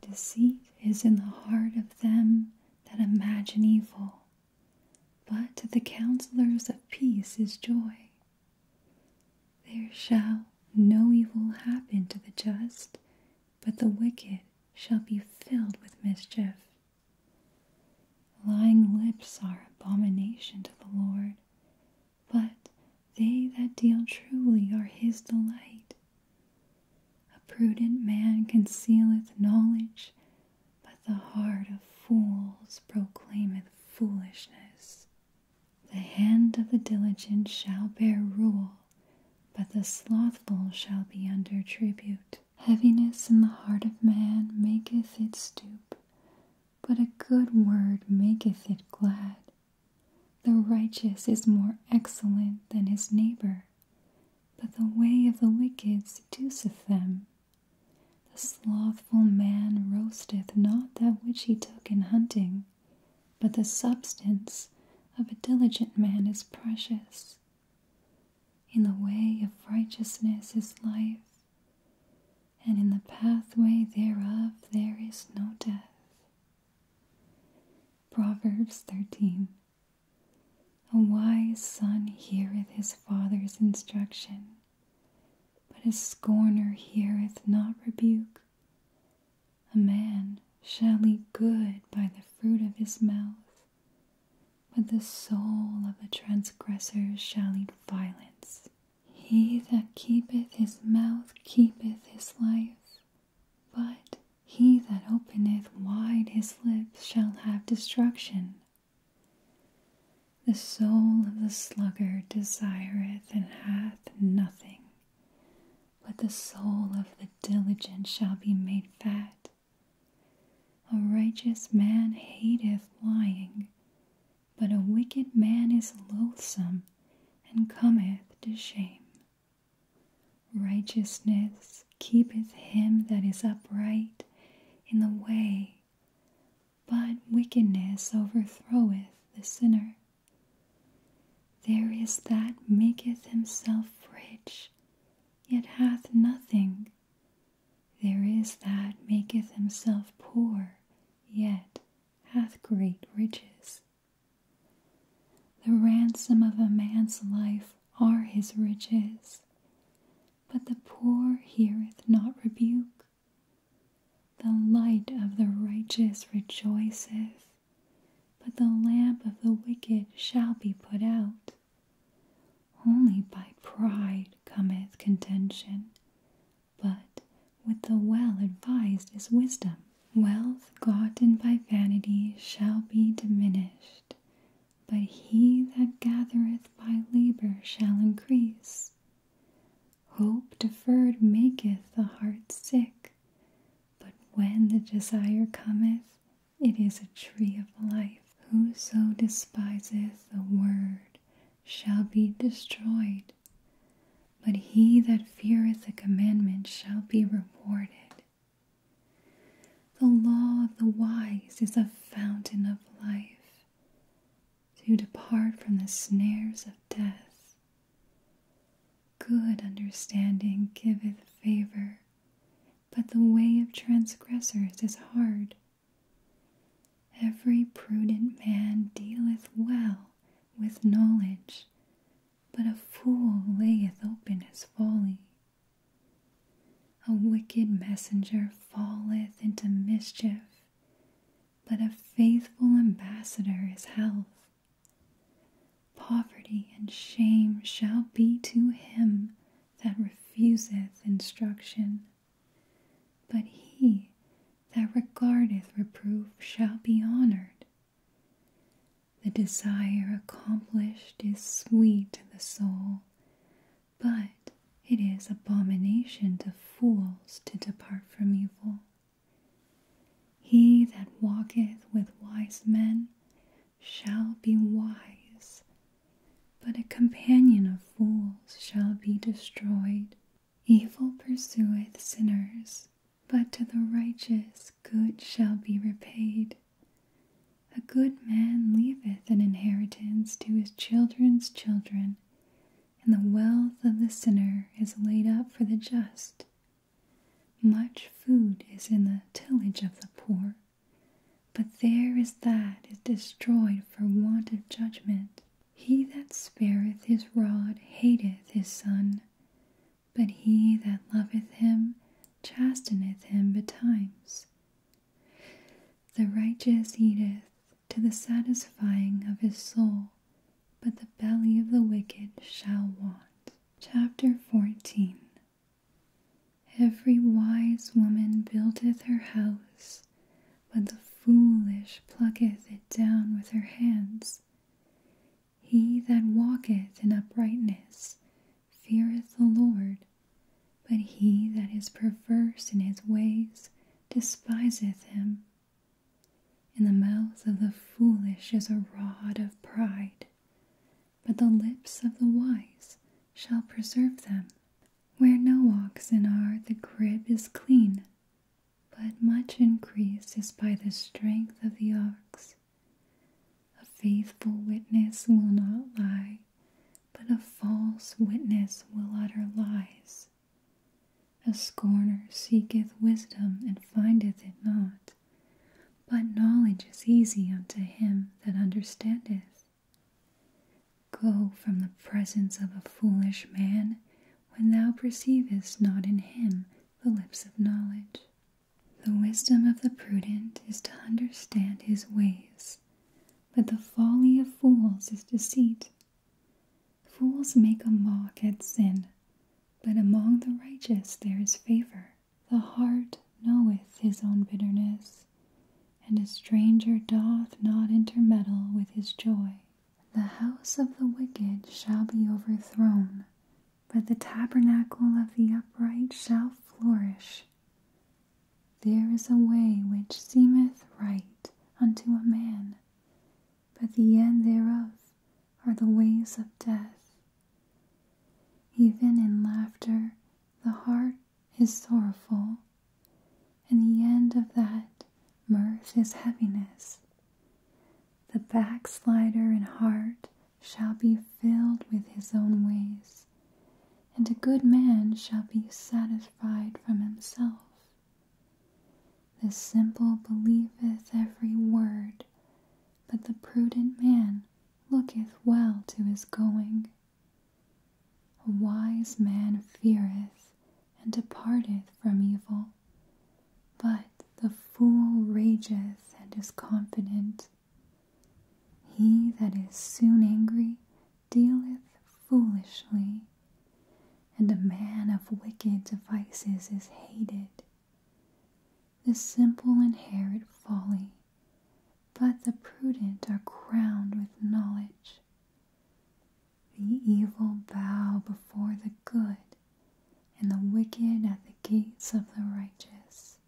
Deceit is in the heart of them that imagine evil, but to the counselors of peace is joy. There shall no evil happen to the just, but the wicked shall be filled with mischief. Lying lips are abomination to the Lord, but they that deal truly are his delight. A prudent man concealeth knowledge, but the heart of fools proclaimeth foolishness. The hand of the diligent shall bear rule, but the slothful shall be under tribute. Heaviness in the heart of man maketh it stoop, but a good word maketh it glad. The righteous is more excellent than his neighbor, but the way of the wicked seduceth them. The slothful man roasteth not that which he took in hunting, but the substance of a diligent man is precious. In the way of righteousness is life, and in the pathway thereof there is no death. Proverbs 13 A wise son heareth his father's instruction but a scorner heareth not rebuke. A man shall eat good by the fruit of his mouth, but the soul of a transgressor shall eat violence. He that keepeth his mouth keepeth his life, but he that openeth wide his lips shall have destruction. The soul of the sluggard desireth and hath nothing, but the soul of the diligent shall be made fat. A righteous man hateth lying, but a wicked man is loathsome and cometh to shame. Righteousness keepeth him that is upright in the way, but wickedness overthroweth the sinner. There is that maketh himself rich, yet hath nothing. There is that maketh himself poor, yet hath great riches. The ransom of a man's life are his riches, but the poor heareth not rebuke. The light of the righteous rejoiceth, but the lamp of the wicked shall be put out. Only by pride cometh contention, but with the well advised is wisdom. Wealth gotten by vanity shall be diminished, but he that gathereth by labor shall increase. Hope deferred maketh the heart sick, but when the desire cometh, it is a tree of life. Whoso despiseth the word shall be destroyed, but he that feareth the commandment shall be rewarded. The law of the wise is a fountain of life, to depart from the snares of death. Good understanding giveth favor, but the way of transgressors is hard. Every prudent man dealeth well with knowledge, but a fool layeth open his folly. A wicked messenger falleth into mischief, but a faithful ambassador is health. Poverty and shame shall be to him that refuseth instruction, but he that regardeth reproof shall be honored. The desire accomplished is sweet to the soul, but it is abomination to fools to depart from evil. He that walketh with wise men shall be wise, but a companion of fools shall be destroyed. Evil pursueth sinners, but to the righteous good shall be repaid. A good man leaveth an inheritance to his children's children, and the wealth of the sinner is laid up for the just. Much food is in the tillage of the poor, but there is that is destroyed for want of judgment. He that spareth his rod hateth his son, but he that loveth him chasteneth him betimes. The righteous eateth to the satisfying of his soul, but the belly of the wicked shall want. Chapter 14 Every wise woman buildeth her house, but the foolish plucketh it down with her hands. He that walketh in uprightness feareth the Lord, but he that is perverse in his ways despiseth him. In the mouth of the foolish is a rod of pride, but the lips of the wise shall preserve them. Where no oxen are, the crib is clean, but much increase is by the strength of the ox. A faithful witness will not lie, but a false witness will utter lies. A scorner seeketh wisdom and findeth it not, but knowledge is easy unto him that understandeth. Go from the presence of a foolish man when thou perceivest not in him the lips of knowledge. The wisdom of the prudent is to understand his ways, but the folly of fools is deceit. Fools make a mock at sin, but among the righteous there is favor. The heart knoweth his own bitterness, and a stranger doth not intermeddle with his joy. The house of the wicked shall be overthrown, but the tabernacle of the upright shall flourish. There is a way which seemeth right unto a man, but the end thereof are the ways of death. Even in laughter, the heart is sorrowful, and the end of that mirth is heaviness. The backslider in heart shall be filled with his own ways, and a good man shall be satisfied from himself. The simple believeth every word, but the prudent man looketh well to his going. A wise man feareth and departeth from evil, but the fool rageth and is confident. He that is soon angry dealeth foolishly, and a man of wicked devices is hated. The simple inherit folly, but the prudent are crowned with knowledge. The evil bow before the good, and the wicked at the gates of the righteous.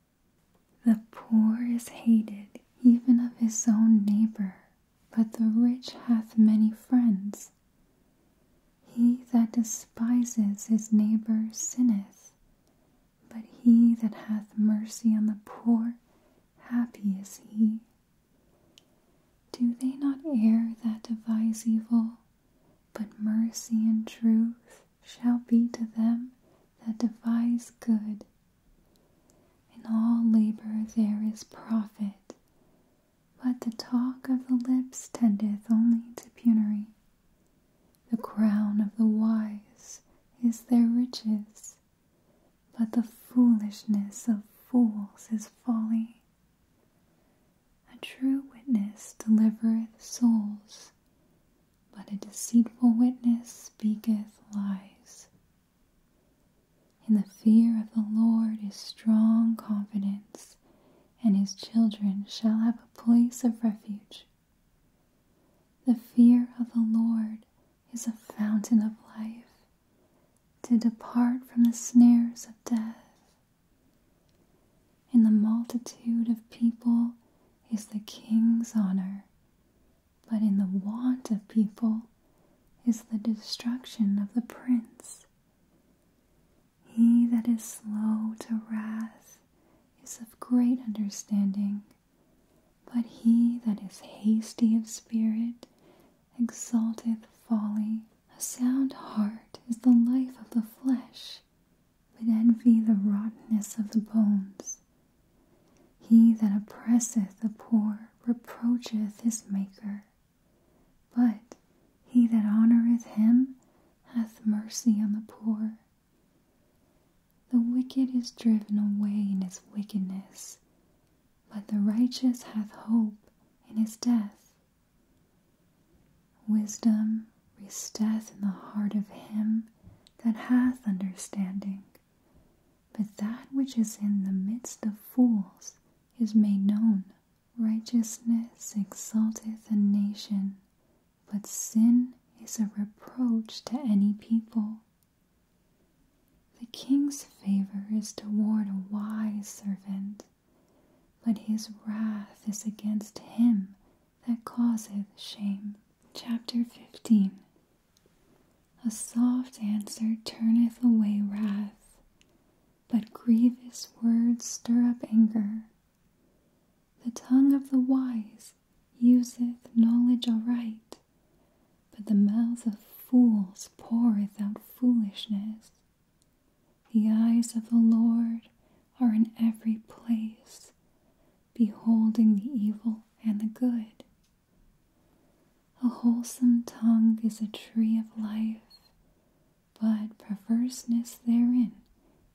The poor is hated even of his own neighbor, but the rich hath many friends. He that despises his neighbor sinneth, but he that hath mercy on the poor, happy is he. Do they not err that devise evil? But mercy and truth shall be to them that devise good. In all labor there is profit, but the talk of the lips tendeth only to penury. The crown of the wise is their riches, but the foolishness of fools is folly. A true witness delivereth souls, but a deceitful witness speaketh lies. In the fear of the Lord is strong confidence, and his children shall have a place of refuge. The fear of the Lord is a fountain of life, to depart from the snares of death. In the multitude of people is the king's honor, but in the want of people is the destruction of the prince. He that is slow to wrath is of great understanding, but he that is hasty of spirit exalteth folly. A sound heart is the life of the flesh, but envy the rottenness of the bones. He that oppresseth the poor reproacheth his Maker, but he that honoureth him hath mercy on the poor. The wicked is driven away in his wickedness, but the righteous hath hope in his death. Wisdom resteth in the heart of him that hath understanding, but that which is in the midst of fools is made known. Righteousness exalteth a nation, but sin is a reproach to any people. The king's favor is toward a wise servant, but his wrath is against him that causeth shame. Chapter 15 A soft answer turneth away wrath, but grievous words stir up anger. The tongue of the wise useth knowledge aright, but the mouth of fools poureth out foolishness. The eyes of the Lord are in every place, beholding the evil and the good. A wholesome tongue is a tree of life, but perverseness therein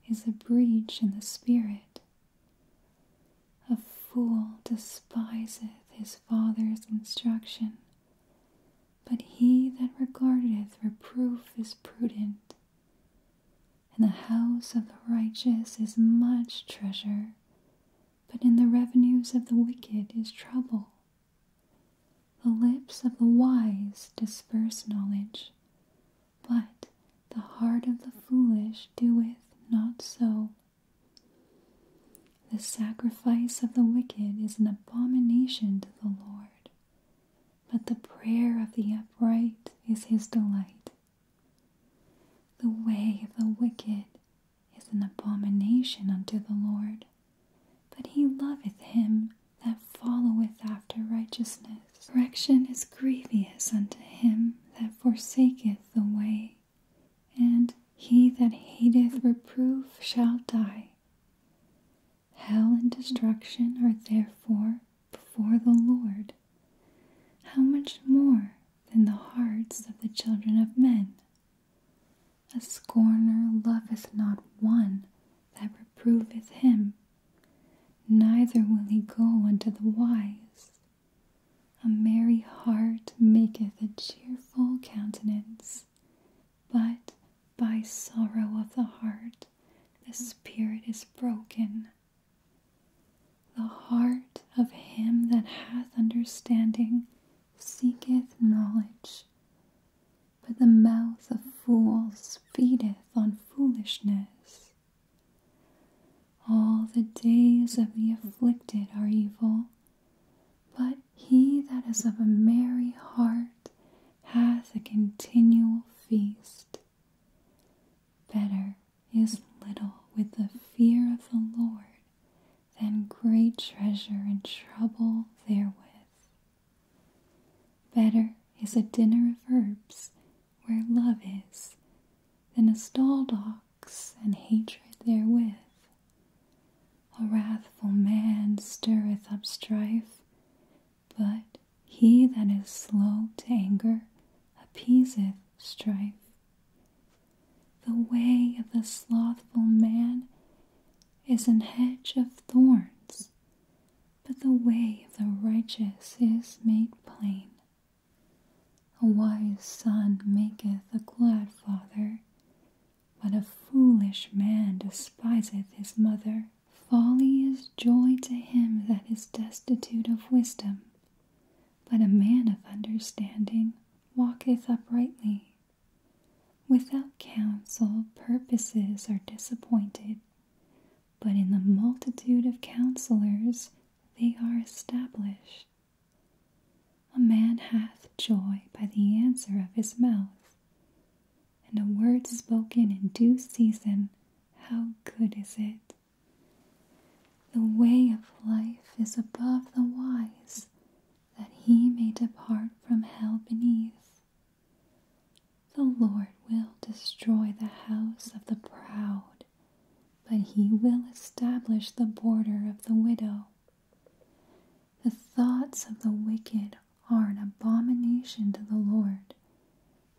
is a breach in the spirit. A fool despiseth his father's instruction, but he that regardeth reproof is prudent. And the house of the righteous is much treasure, but in the revenues of the wicked is trouble. The lips of the wise disperse knowledge, but the heart of the foolish doeth not so. The sacrifice of the wicked is an abomination to the Lord, but the prayer of the upright is his delight. The way of the wicked is an abomination unto the Lord, but he loveth him that followeth after righteousness. Correction is grievous unto him that forsaketh the way, and he that hateth reproof shall die. Hell and destruction are therefore before the Lord. How much more than the hearts of the children of men? A scorner loveth not one that reproveth him, neither will he go unto the wise. A merry heart maketh a cheerful countenance, but by sorrow of the heart the spirit is broken. The heart of him that hath understanding seeketh knowledge, but the mouth of fools feedeth on foolishness. All the days of the afflicted are evil, but he that is of a merry heart hath a continual feast. Better is little with the fear of the Lord than great treasure and trouble therewith. Better is a dinner of herbs where love is than a stall ox and hatred therewith. A wrathful man stirreth up strife, but he that is slow to anger appeaseth strife. The way of the slothful man is an hedge of thorns, but the way of the righteous is made plain. A wise son maketh a glad father, but a foolish man despiseth his mother. Folly is joy to him that is destitute of wisdom, but a man of understanding walketh uprightly. Without counsel, purposes are disappointed, but in the multitude of counselors they are established. A man hath joy by the answer of his mouth, and a word spoken in due season, how good is it! The way of life is above the wise, that he may depart from hell beneath. The Lord will destroy the house of the proud, but he will establish the border of the widow. The thoughts of the wicked are an abomination to the Lord,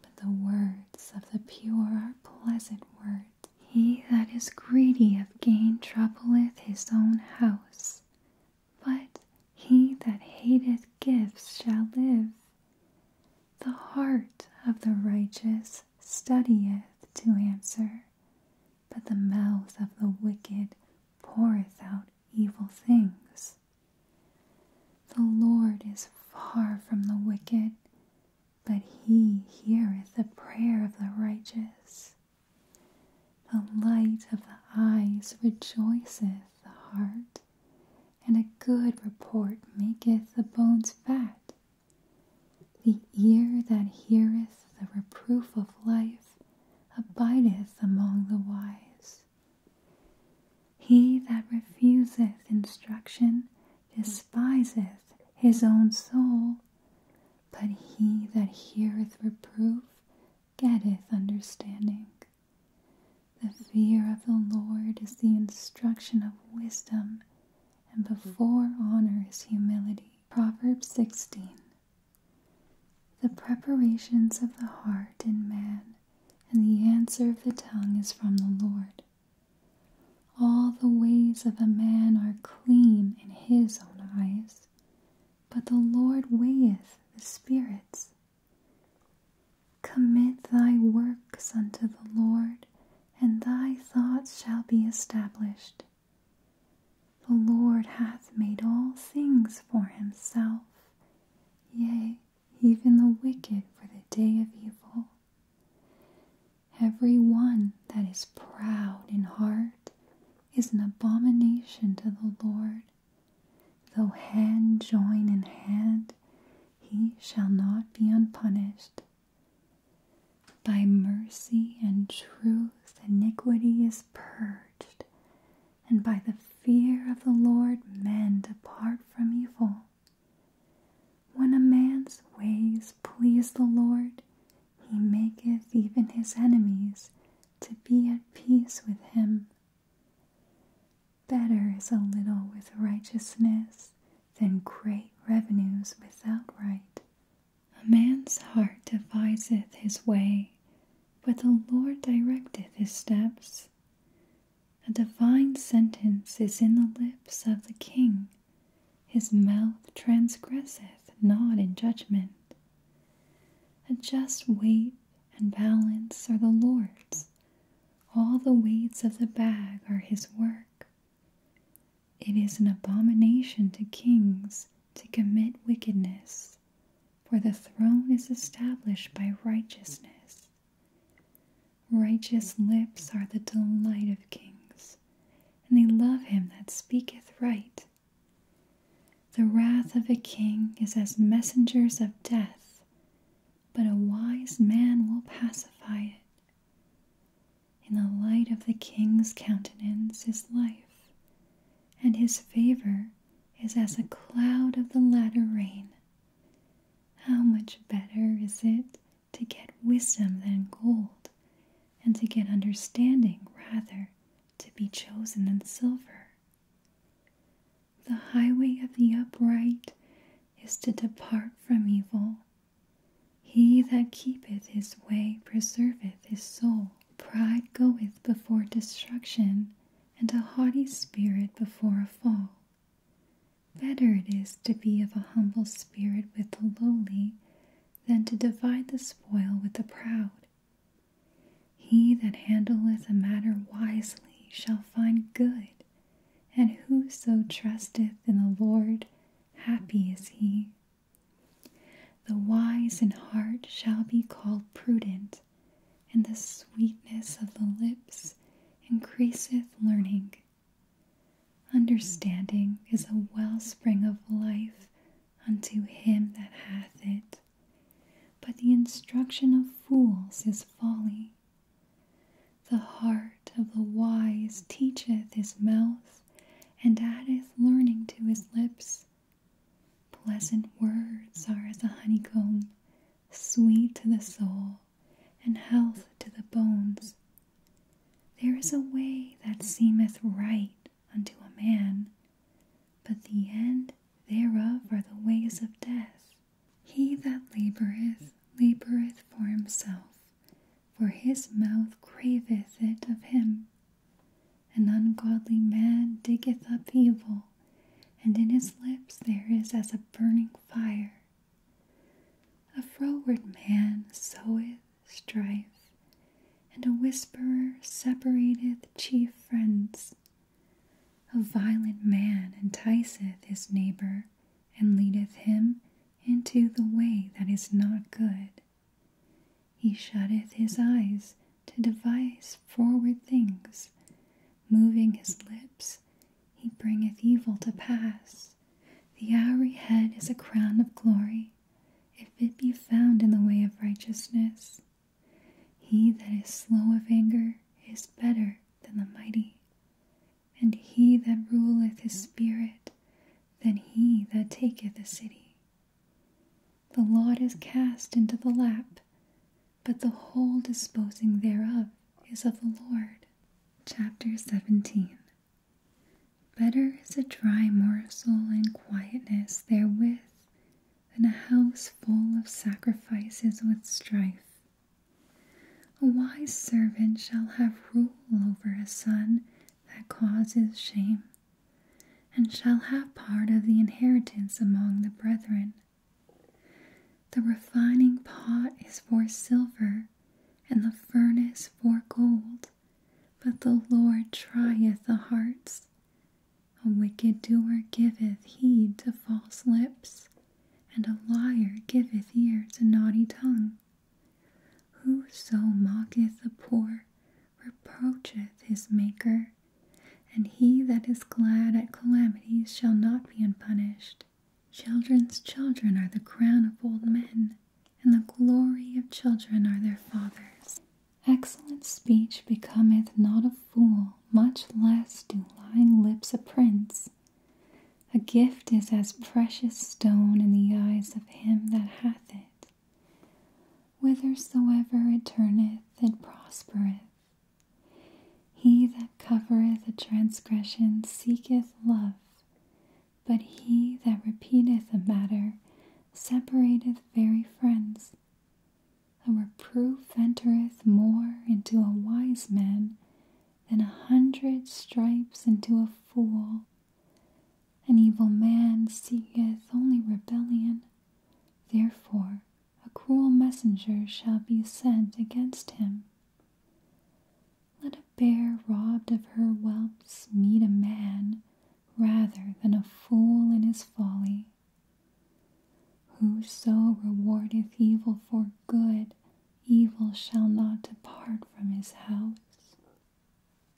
but the words of the pure are pleasant words. He that is greedy of gain troubleth his own house, but he that hateth gifts shall live. The heart of the righteous studieth to answer, but the mouth of the wicked poureth out evil things. The Lord is far from the wicked, but he heareth the prayer of the righteous. The light of the eyes rejoiceth the heart, and a good report maketh the bones fat. The ear that heareth the reproof of life abideth among the wise. He that refuseth instruction despiseth his own soul, but he that heareth reproof getteth understanding. The fear of the Lord is the instruction of wisdom, and before honor is humility. Proverbs 16 The preparations of the heart in man, and the answer of the tongue is from the Lord. All the ways of a man are clean in his own eyes, but the Lord weigheth the spirits. Commit thy works unto the Lord, and thy thoughts shall be established. The Lord hath made all things for himself, yea, even the wicked for the day of evil. Every one that is proud in heart is an abomination to the Lord. Though hand join in hand, he shall not be unpunished. By mercy and truth, iniquity is purged, and by the fear of the Lord, men depart from evil. When a man's ways please the Lord, he maketh even his enemies to be at peace with him. Better is a little with righteousness than great revenues without right. A man's heart deviseth his way, but the Lord directeth his steps. A divine sentence is in the lips of the king, his mouth transgresseth not in judgment. A just weight and balance are the Lord's. All the weights of the bag are his work. It is an abomination to kings to commit wickedness, for the throne is established by righteousness. Righteous lips are the delight of kings, and they love him that speaketh right. The wrath of a king is as messengers of death, but a wise man will pacify it. In the light of the king's countenance is life, and his favor is as a cloud of the latter rain. How much better is it to get wisdom than gold, and to get understanding rather to be chosen than silver? The highway of the upright is to depart from evil. He that keepeth his way preserveth his soul. Pride goeth before destruction, and a haughty spirit before a fall. Better it is to be of a humble spirit with the lowly than to divide the spoil with the proud. He that handleth a matter wisely shall find good, and whoso trusteth in the Lord, happy is he. The wise in heart shall be called prudent, and the sweetness of the lips increaseth learning. Understanding is a wellspring of life unto him that hath it but the instruction of fools is folly. The heart of the wise teacheth his mouth, and addeth learning to his lips. Pleasant words are as a honeycomb, sweet to the soul, and health to the bones. There is a way that seemeth right unto a man, but the end thereof are the ways of death. He that laboureth, laboureth for himself, for his mouth craveth it of him. An ungodly man diggeth up evil, and in his lips there is as a burning fire. A froward man soweth strife, and a whisperer separateth chief friends. A violent man enticeth his neighbor, and leadeth him into the way that is not good. He shutteth his eyes to devise forward things. Moving his lips, he bringeth evil to pass. The hoary head is a crown of glory, if it be found in the way of righteousness. He that is slow of anger is better than the mighty, and he that ruleth his spirit than he that taketh a city. The lot is cast into the lap, but the whole disposing thereof is of the Lord. Chapter 17 Better is a dry morsel and quietness therewith than a house full of sacrifices with strife. A wise servant shall have rule over a son that causes shame, and shall have part of the inheritance among the brethren. The refining pot is for silver, and the furnace for gold, but the Lord trieth the hearts. A wicked doer giveth heed to false lips, and a liar giveth ear to naughty tongue. Whoso mocketh the poor reproacheth his Maker, and he that is glad at calamities shall not be unpunished. Children's children are the crown of old men, and the glory of children are their fathers. Excellent speech becometh not a fool, much less do lying lips a prince. A gift is as precious stone in the eyes of him that hath it. Whithersoever it turneth, it prospereth. He that covereth a transgression seeketh love, but he that repeateth a matter separateth very friends. A reproof entereth more into a wise man than a hundred stripes into a fool. An evil man seeketh only rebellion, therefore a cruel messenger shall be sent against him. Let a bear robbed of her whelps meet a man rather than a fool in his folly. Whoso rewardeth evil for good, evil shall not depart from his house.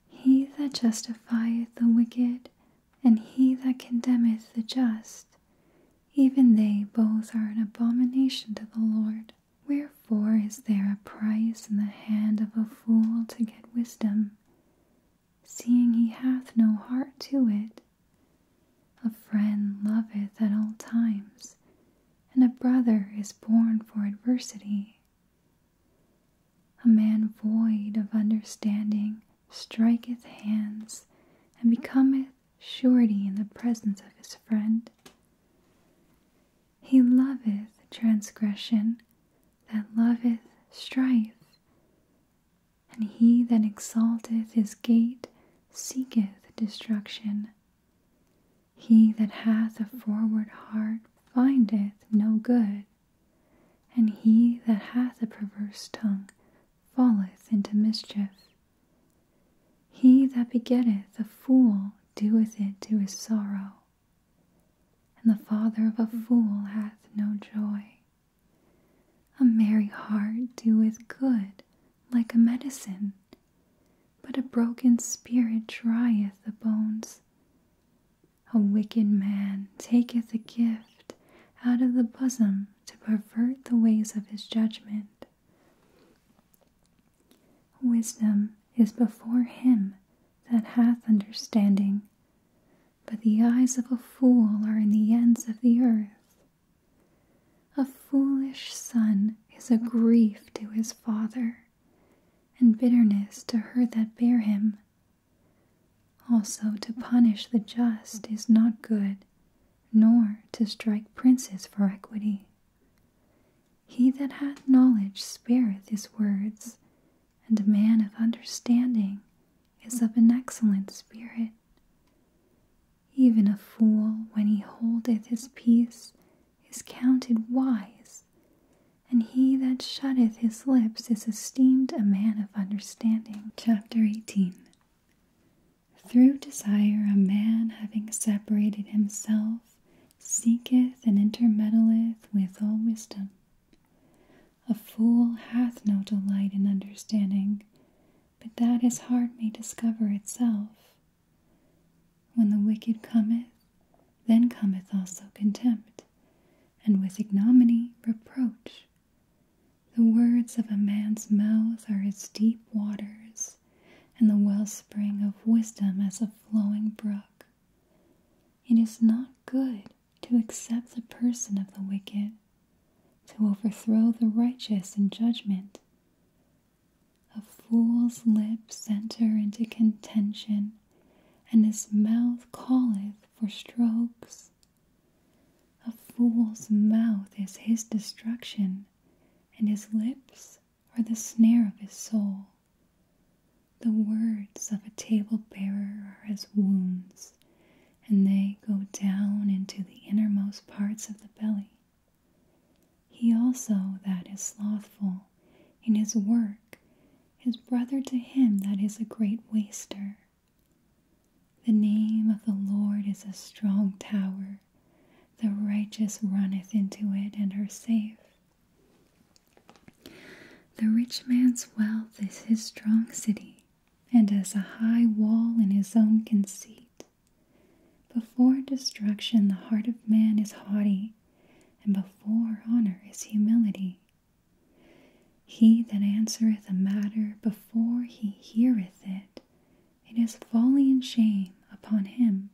He that justifieth the wicked, and he that condemneth the just, even they both are an abomination to the Lord. Wherefore is there a price in the hand of a fool to get wisdom, seeing he hath no heart to it? A friend loveth at all times, and a brother is born for adversity. A man void of understanding striketh hands and becometh surety in the presence of his friend. He loveth transgression that loveth strife, and he that exalteth his gate seeketh destruction. He that hath a forward heart findeth no good, and he that hath a perverse tongue falleth into mischief. He that begetteth a fool doeth it to his sorrow, and the father of a fool hath no joy. A merry heart doeth good like a medicine, but a broken spirit drieth the bones. A wicked man taketh a gift out of the bosom to pervert the ways of his judgment. Wisdom is before him that hath understanding, but the eyes of a fool are in the ends of the earth. A foolish son is a grief to his father, and bitterness to her that bare him. Also, to punish the just is not good, nor to strike princes for equity. He that hath knowledge spareth his words, and a man of understanding is of an excellent spirit it. Even a fool, when he holdeth his peace, is counted wise, and he that shutteth his lips is esteemed a man of understanding. Chapter 18 Through desire, a man having separated himself seeketh and intermeddleth with all wisdom. A fool hath no delight in understanding, but that his heart may discover itself. When the wicked cometh, then cometh also contempt, and with ignominy reproach. The words of a man's mouth are as deep waters, and the wellspring of wisdom as a flowing brook. It is not good to accept the person of the wicked, to overthrow the righteous in judgment, a fool's lips enter into contention, and his mouth calleth for strokes. A fool's mouth is his destruction, and his lips are the snare of his soul. The words of a table bearer are as wounds, and they go down into the innermost parts of the belly. He also that is slothful in his work is brother to him that is a great waster. The name of the Lord is a strong tower. The righteous runneth into it and is safe. The rich man's wealth is his strong city, and as a high wall in his own conceit. Before destruction, the heart of man is haughty, and before honor is humility. He that answereth a matter before he heareth it, it is folly and shame upon him.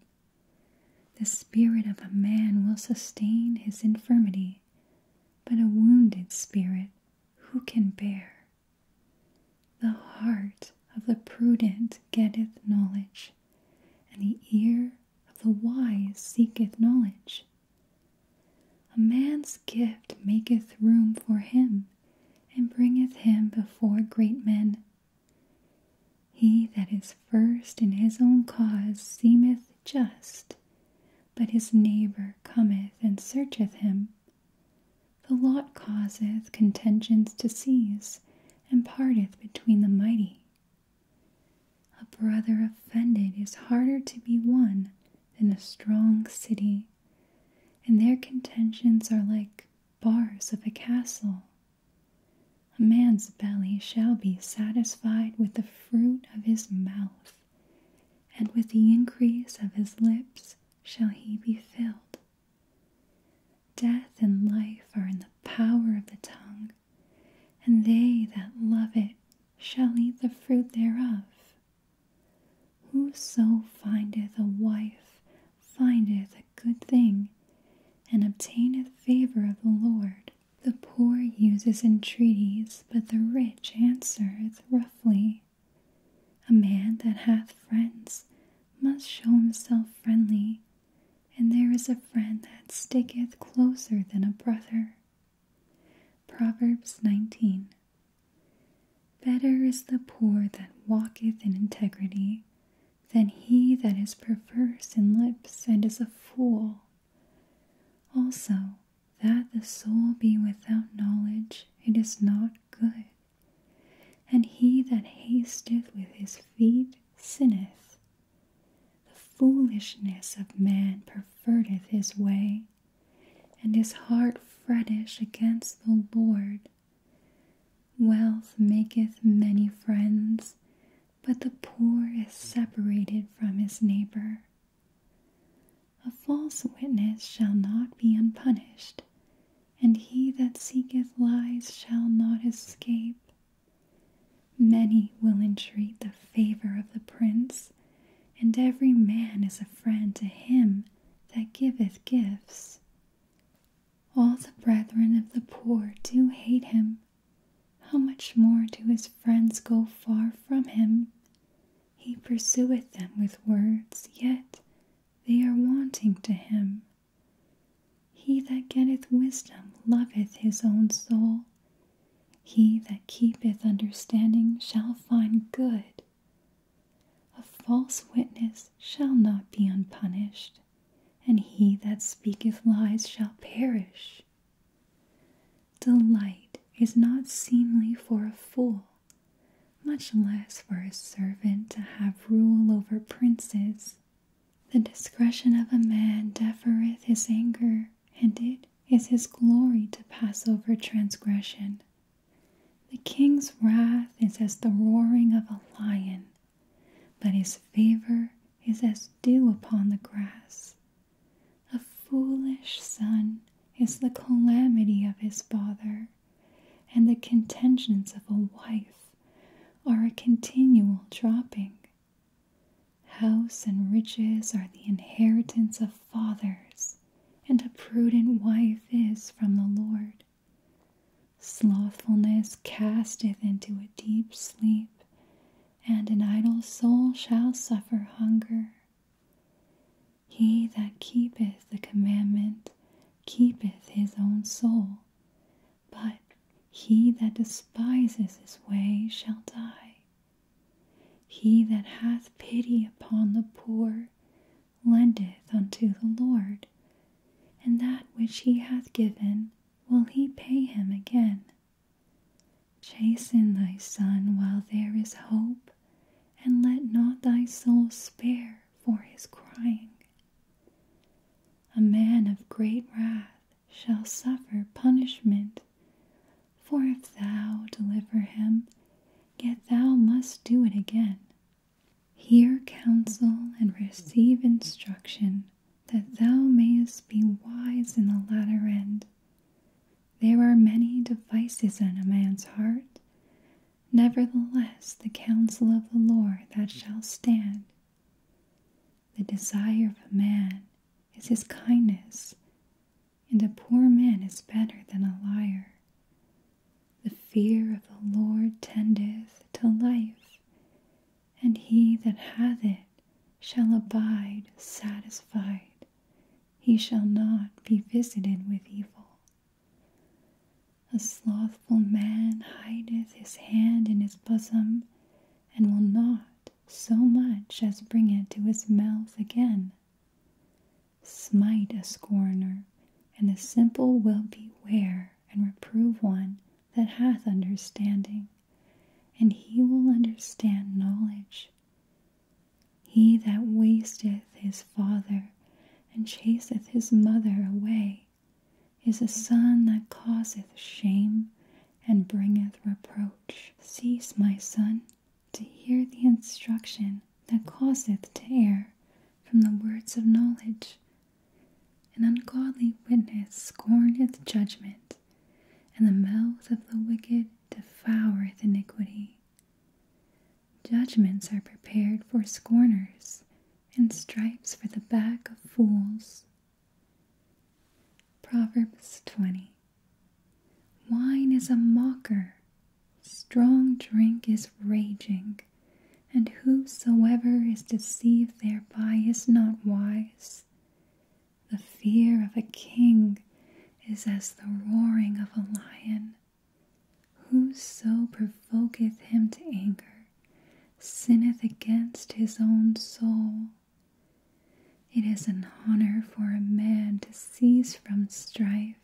The spirit of a man will sustain his infirmity, but a wounded spirit who can bear? The heart of the prudent getteth knowledge, and the ear of the wise seeketh knowledge. A man's gift maketh room for him, and bringeth him before great men. He that is first in his own cause seemeth just, but his neighbor cometh and searcheth him. The lot causeth contentions to cease, and parteth between the mighty. A brother offended is harder to be won than a strong city, and their contentions are like bars of a castle. A man's belly shall be satisfied with the fruit of his mouth, and with the increase of his lips shall he be filled. Death and life are in the power of the tongue, and they that love it shall eat the fruit thereof. Whoso findeth a wife findeth a good thing, and obtaineth favor of the Lord. The poor uses entreaties, but the rich answereth roughly. A man that hath friends must show himself friendly, and there is a friend that sticketh closer than a brother. Proverbs 19 Better is the poor that walketh in integrity than he that is perverse in lips and is a fool. Also, that the soul be without knowledge, it is not good. And he that hasteth with his feet sinneth. The foolishness of man perverteth his way, and his heart fretteth against the Lord. Wealth maketh many friends, but the poor is separated from his neighbor. A false witness shall not be unpunished, and he that seeketh lies shall not escape. Many will entreat the favor of the prince, and every man is a friend to him that giveth gifts. All the brethren of the poor do hate him. How much more do his friends go far from him? He pursueth them with words, yet they are wanting to him. He that getteth wisdom loveth his own soul. He that keepeth understanding shall find good. A false witness shall not be unpunished, and he that speaketh lies shall perish. Delight is not seemly for a fool, much less for a servant to have rule over princes. The discretion of a man defereth his anger, and it is his glory to pass over transgression. The king's wrath is as the roaring of a lion, but his favor is as dew upon the grass. A foolish son is the calamity of his father, and the contentions of a wife are a continual dropping. House and riches are the inheritance of fathers, and a prudent wife is from the Lord. Slothfulness casteth into a deep sleep, and an idle soul shall suffer hunger. He that keepeth the commandment keepeth his own soul, but he that despises his way shall die. He that hath pity upon the poor lendeth unto the Lord, and that which he hath given will he pay him again. Chasten thy son while there is hope, and let not thy soul spare for his crying. A man of great wrath shall suffer punishment. For if thou deliver him, yet thou must do it again. Hear counsel and receive instruction, that thou mayest be wise in the latter end. There are many devices in a man's heart. Nevertheless, the counsel of the Lord that shall stand the desire of a man is his kindness, and a poor man is better than a liar. The fear of the Lord tendeth to life, and he that hath it shall abide satisfied. He shall not be visited with evil. A slothful man hideth his hand in his bosom, and will not so much as bring it to his mouth again. Smite a scorner, and the simple will beware and reprove one that hath understanding, and he will understand knowledge. He that wasteth his father and chaseth his mother away is a son that causeth shame and bringeth reproach. Cease, my son, to hear the instruction that causeth to from the words of knowledge. An ungodly witness scorneth judgment, and the mouth of the wicked devoureth iniquity. Judgments are prepared for scorners, and stripes for the back of fools. Proverbs 20 Wine is a mocker, strong drink is raging, and whosoever is deceived thereby is not wise. The fear of a king is as the roaring of a lion. Whoso provoketh him to anger sinneth against his own soul. It is an honor for a man to cease from strife,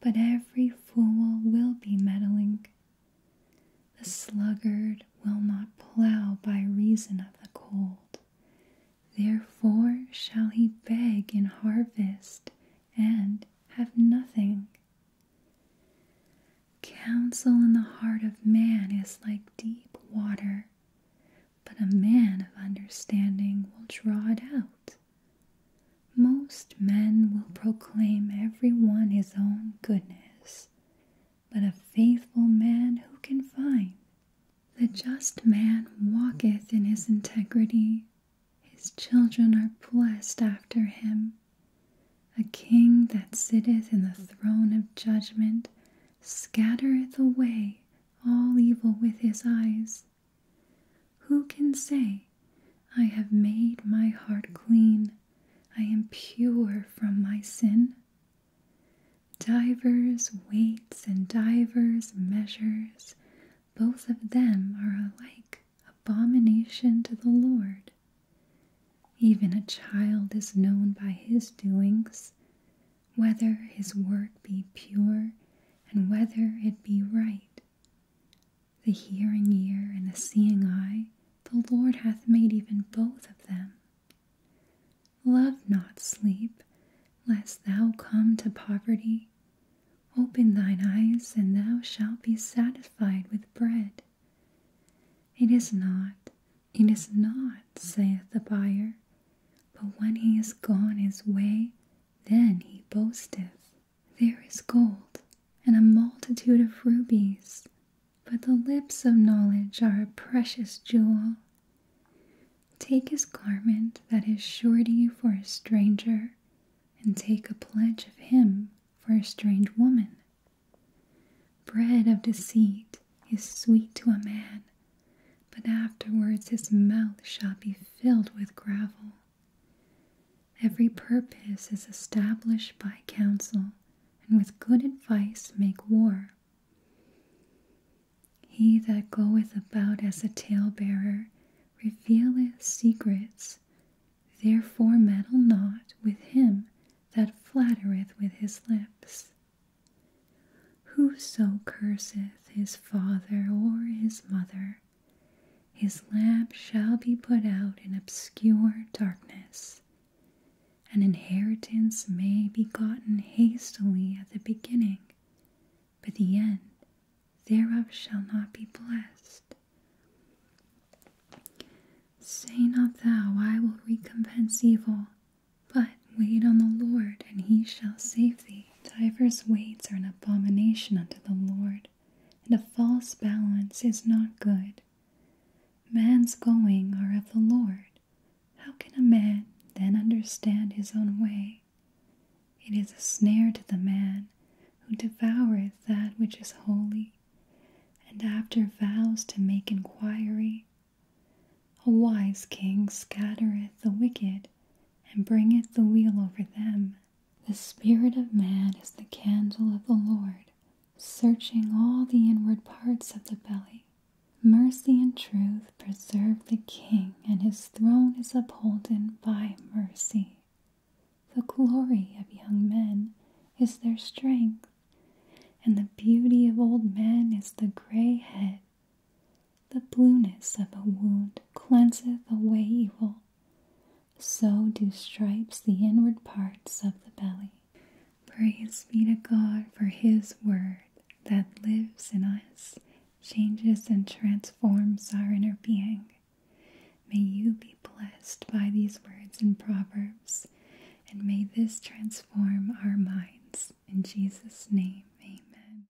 but every fool will be meddling. The sluggard will not plough by reason of the cold. Therefore shall he beg in harvest and have nothing. Counsel in the heart of man is like deep water, but a man of understanding will draw it out. Most men will proclaim every one his own goodness, but a faithful man who can find? The just man walketh in his integrity, his children are blessed after him. A king that sitteth in the throne of judgment scattereth away all evil with his eyes. Who can say, I have made my heart clean, I am pure from my sin? Divers weights and divers measures, both of them are alike abomination to the Lord. Even a child is known by his doings, whether his work be pure and whether it be right. The hearing ear and the seeing eye, the Lord hath made even both of them. Love not sleep, lest thou come to poverty. Open thine eyes, and thou shalt be satisfied with bread. It is not, it is not, saith the buyer. But when he is gone his way, then he boasteth. There is gold, and a multitude of rubies, but the lips of knowledge are a precious jewel. Take his garment that is surety for a stranger, and take a pledge of him for a strange woman. Bread of deceit is sweet to a man, but afterwards his mouth shall be filled with gravel. Every purpose is established by counsel, and with good advice make war. He that goeth about as a talebearer revealeth secrets, therefore meddle not with him that flattereth with his lips. Whoso curseth his father or his mother, his lamp shall be put out in obscure darkness. An inheritance may be gotten hastily at the beginning, but the end thereof shall not be blessed. Say not thou, I will recompense evil, but wait on the Lord, and he shall save thee. Divers weights are an abomination unto the Lord, and a false balance is not good. Man's going are of the Lord. How can a man then understand his own way? It is a snare to the man who devoureth that which is holy and after vows to make inquiry, a wise king scattereth the wicked and bringeth the wheel over them. The spirit of man is the candle of the Lord, searching all the inward parts of the belly. Mercy and truth preserve the king, and his throne is upholden by mercy. The glory of young men is their strength, and the beauty of old men is the gray head. The blueness of a wound cleanseth away evil. So do stripes the inward parts of the belly. Praise be to God for His word that lives in us, changes and transforms our inner being. May you be blessed by these words and Proverbs. And may this transform our minds. In Jesus' name, amen.